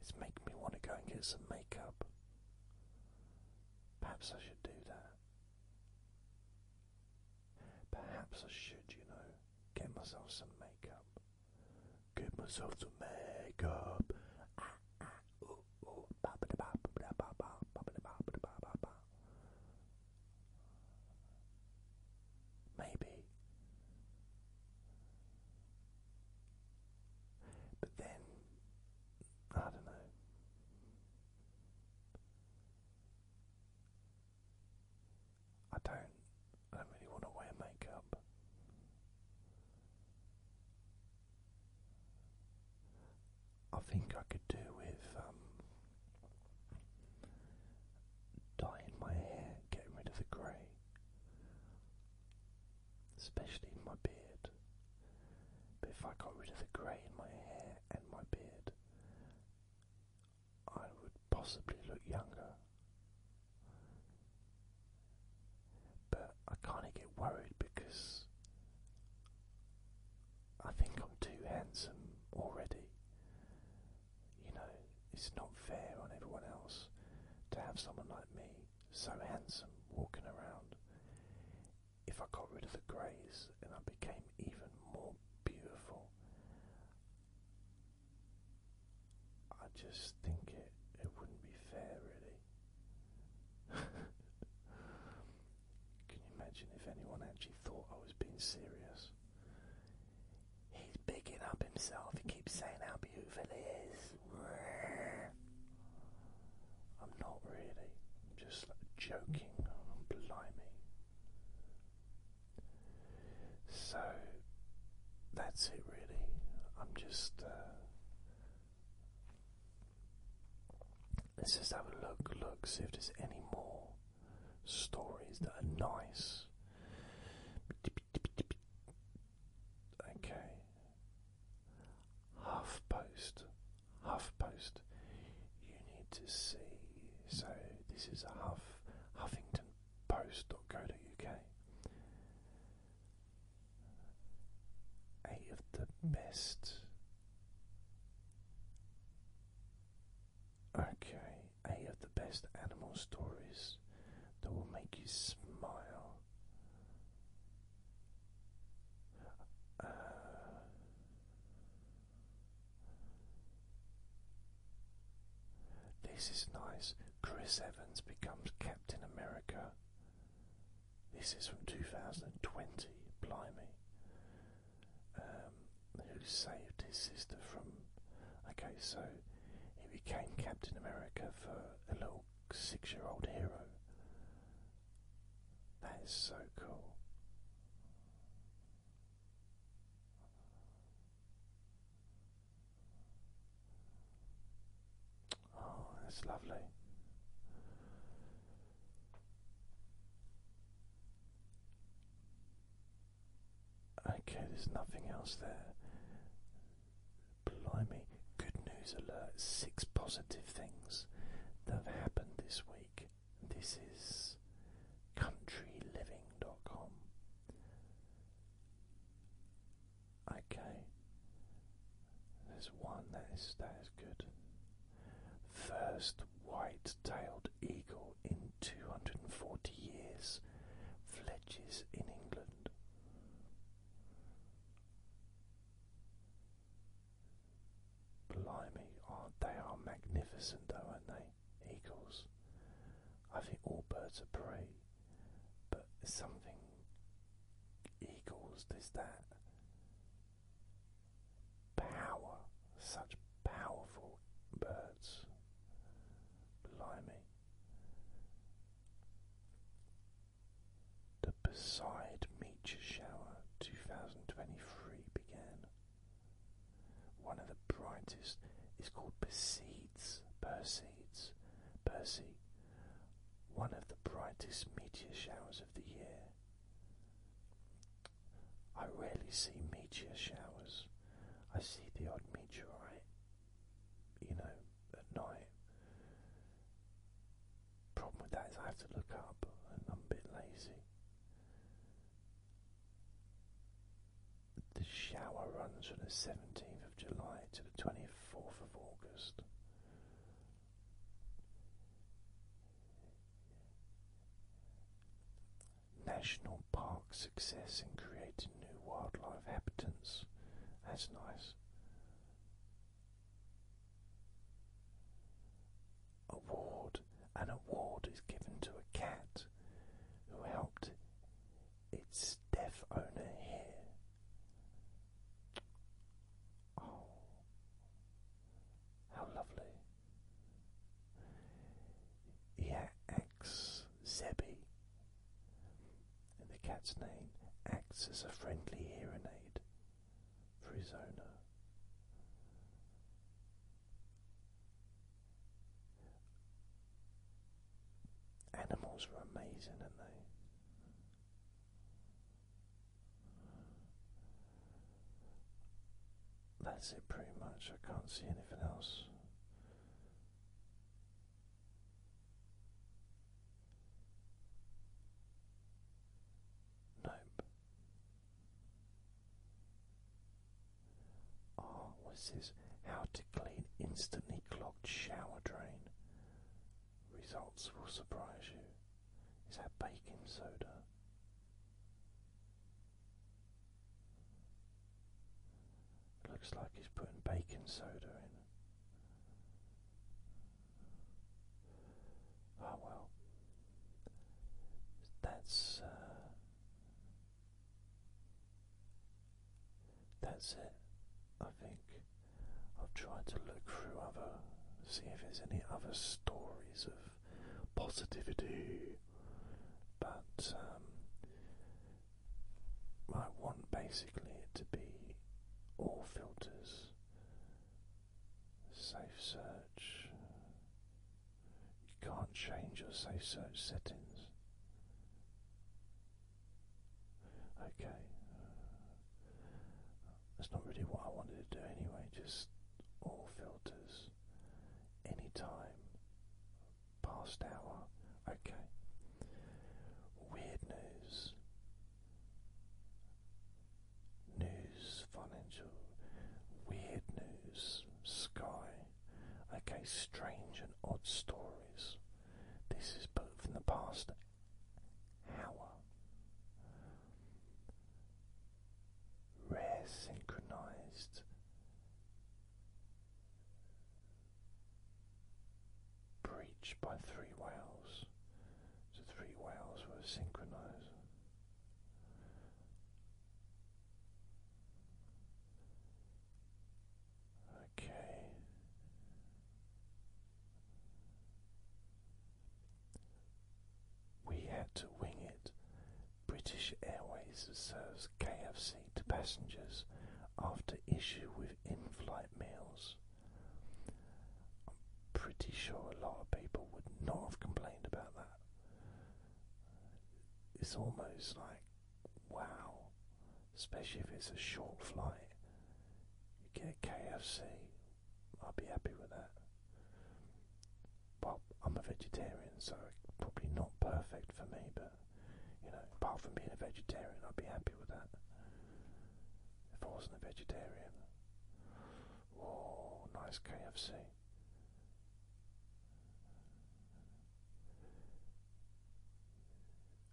It's making me want to go and get some makeup. Perhaps I should do that. Perhaps I should, you know, get myself some makeup. Get myself some makeup. Maybe. But then, I don't know. I don't, I don't really want to wear makeup. I think I could do with um, dyeing my hair, getting rid of the grey especially in my beard. But if I got rid of the grey in my hair and my beard, I would possibly look younger. But I kind of get worried because I think I'm too handsome already. You know, it's not fair on everyone else to have someone like me, so handsome, walking around. If I got rid of the greys and I became even more beautiful, I just think it, it wouldn't be fair, really. Can you imagine if anyone actually thought I was being serious? He's picking up himself. He keeps saying how beautiful he is. I'm not really. I'm just joking. blimey. So that's it, really. I'm just. Uh, let's just have a look, look, see if there's any more stories that are nice. Okay. Half post. Half post. You need to see. So this is a Huff Huffington Post.co.uk. Eight of the best. Okay eight of the best animal stories that will make you smile. Uh, this is nice. Chris Evans becomes Captain America. This is from 2020. Blimey. Um, who saved his sister from. Okay, so he became Captain America for a little six year old hero. That is so cool. Oh, that's lovely. Okay, there's nothing else there. Blimey, good news alert. Six positive things that have happened this week. This is countryliving.com. Okay. There's one that is that is good. First white tailed eagle in two hundred and forty years fledges in England. Blimey, oh, they are magnificent though, aren't they? Eagles. I think all birds are prey, but something eagles, there's that power, such powerful birds. Blimey. The Beside Meteor Shower 2023 began. One of the brightest is called Perseids, Perseids, Percy, one of the brightest meteor showers of the year. I rarely see meteor showers. I see the odd meteorite you know, at night. Problem with that is I have to look up and I'm a bit lazy. The shower runs from the 17th of July to the 24th of August. National Park success in creating new wildlife habitants. That's nice. Award. An award is given to a cat who helped its deaf owner hear. Oh, how lovely! He Max Zebby, and the cat's name acts as a friendly hearing aid for his owner. Animals are amazing, aren't they? That's it pretty much, I can't see anything else. Nope. Oh, what's this? How to clean instantly clogged shower drain. Results will surprise you. Is that baking soda? Looks like he's putting baking soda in. oh, well, that's uh, that's it. I think I've tried to look through other, see if there's any other stories of positivity, but um, I want basically it to be all filters, safe search. You can't change your safe search settings. Okay, that's not really what I wanted to do anyway, just all filters, anytime, past hour. Okay. Weird news. News, financial, weird news, sky. Okay, strange and odd stories. This is but from the past hour. Rare synchronized breached by three whales. The three whales were synchronized. Okay. We had to wing it. British Airways serves KFC to passengers after issue with in flight meals. I'm pretty sure a lot of people would not have complained about that. It's almost like, wow, especially if it's a short flight. You get KFC, I'd be happy with that. Well, I'm a vegetarian, so probably not perfect for me, but you know, apart from being a vegetarian, I'd be happy with that. If I wasn't a vegetarian. Oh, nice KFC.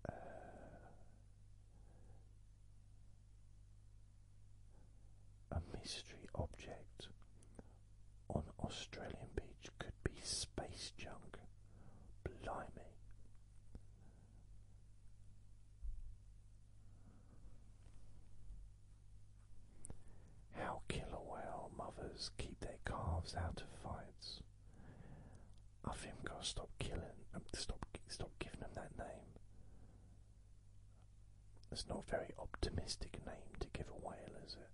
Uh, a mystery object on Australian beach could be space junk. Blimey. How killer whale mothers keep their calves out of fights. I think I'll stop killing, um, stop, stop giving them that name. It's not a very optimistic name to give a whale, is it?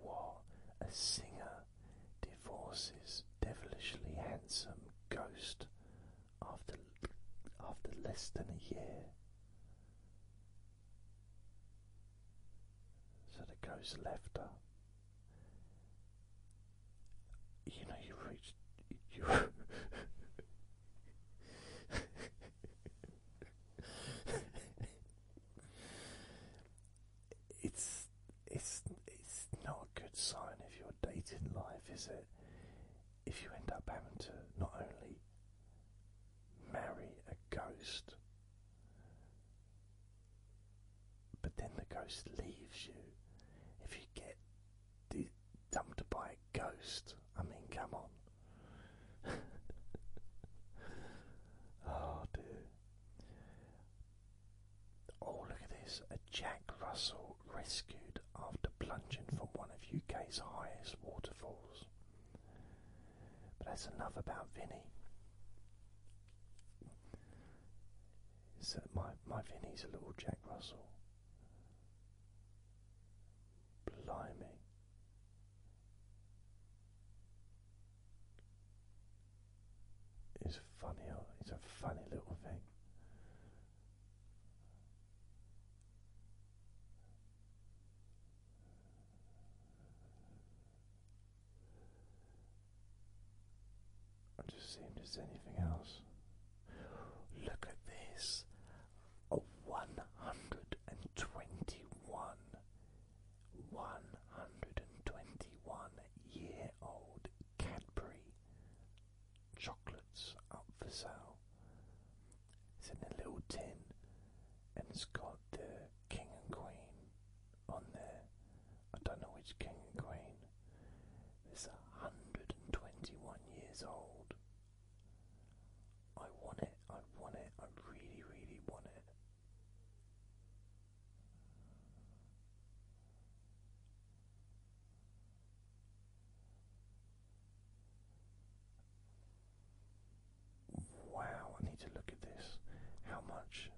What a singer divorces devilishly handsome ghost after after less than a year. So the ghost left her. You know, you reached. it's it's it's not a good sign if your dating life is it if you end up having to not only marry a ghost but then the ghost leaves you if you get dumped by a ghost. I mean, come on. oh dear. Oh, look at this. A Jack Russell rescued after plunging from one of UK's highest waterfalls. But that's enough about Vinny. So my, my Vinny's a little Jack Russell. Blimey. It's funny, it's a funny little thing. i just seeing if there's anything else Look at this a 121, 121 year old Cadbury chocolates up for sale. It's in a little tin and it's got the king and queen on there. I don't know which king and queen. It's 121 years old. I want it, I want it, I really, really want it. Wow, I need to look at this. How much?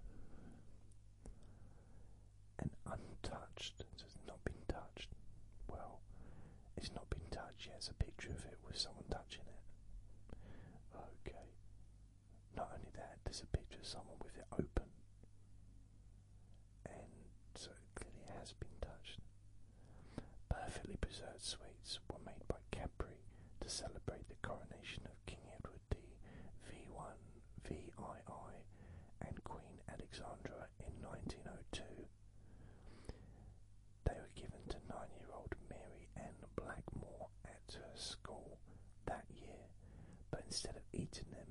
An untouched, has not been touched. Well, it's not been touched yet. It's a picture of it with someone touching it. Okay. Not only that, there's a picture of someone with it open. And so it clearly has been touched. Perfectly preserved sweets were made by Cadbury to celebrate the coronation of King Edward the V1, VII, and Queen Alexandra in 1902. They were given to nine year old Mary N. Blackmore at her school that year, but instead of eating them,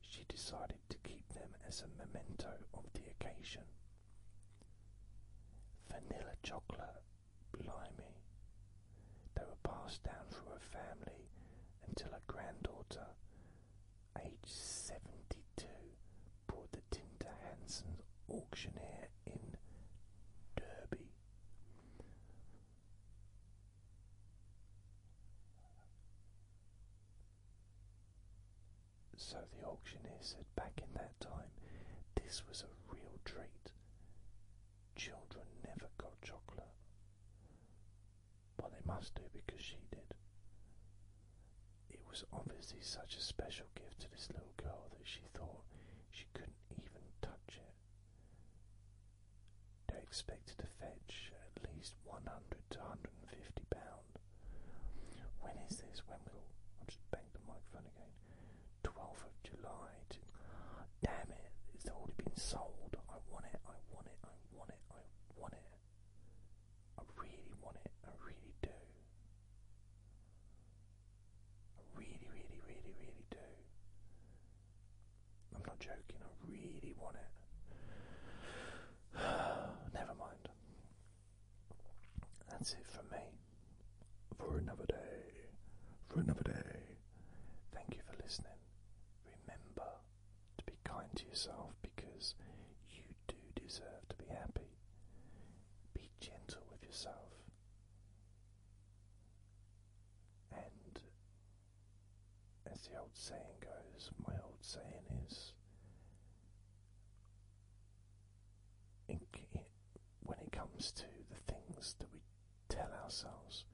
she decided to keep them as a memento of the occasion. Vanilla chocolate, blimey. They were passed down through her family until her granddaughter, aged 72, bought the Tinta Hansen's auctioneer in Derby. So the auctioneer said back in that time, this was a real treat. Children never got chocolate. but they must do because she did. It was obviously such a special gift to this little girl that she thought she couldn't even touch it. They expected to fetch at least 100 to 150 pounds. When is this? When will. I'll just bang the microphone again. 12th of July. damn it, it's already been sold. I want it, I want it, I want it, I want it. I really want it, I really do. I really, really, really, really do. I'm not joking, I really want it. Never mind. That's it for me. For another day. For another day. Thank you for listening. Remember to be kind to yourself because you do deserve to be happy. Be gentle with yourself and as the old saying goes, my old saying is when it comes to the things that we tell ourselves,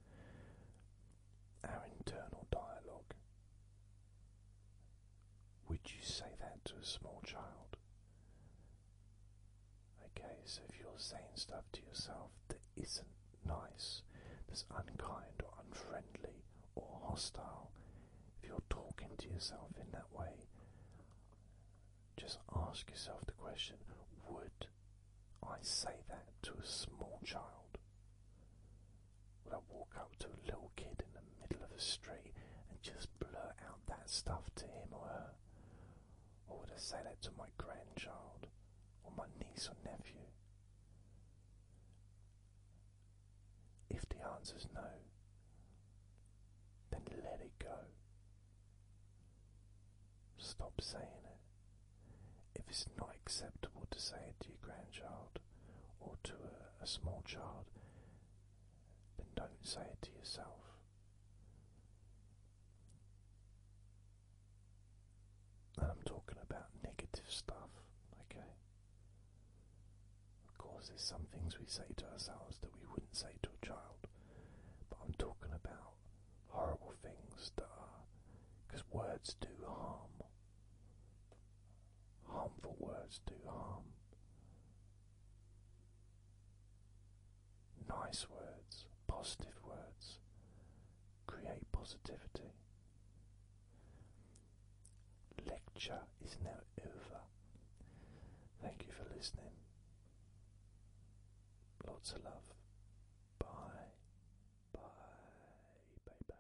our internal dialogue, would you say that to a small child? Okay, so if you're saying stuff to yourself that isn't nice, that's unkind or unfriendly or hostile, if you're talking to yourself in that way, just ask yourself the question Would I say that to a small child? Would I walk up to a little kid in the middle of the street and just blurt out that stuff to him or her? Or would I say that to my grandchild or my niece or nephew? If the answer's no, then let it go. Stop saying it. If it's not acceptable to say it to your grandchild or to a small child, then don't say it to yourself. And I'm talking about negative stuff, okay? Of course, there's some things we say to ourselves that we wouldn't say to a child, but I'm talking about horrible things that are. because words do harm. Harmful words do harm. Nice words, positive words, create positivity. Lecture is now over. Thank you for listening. Lots of love. Bye. Bye. Bye.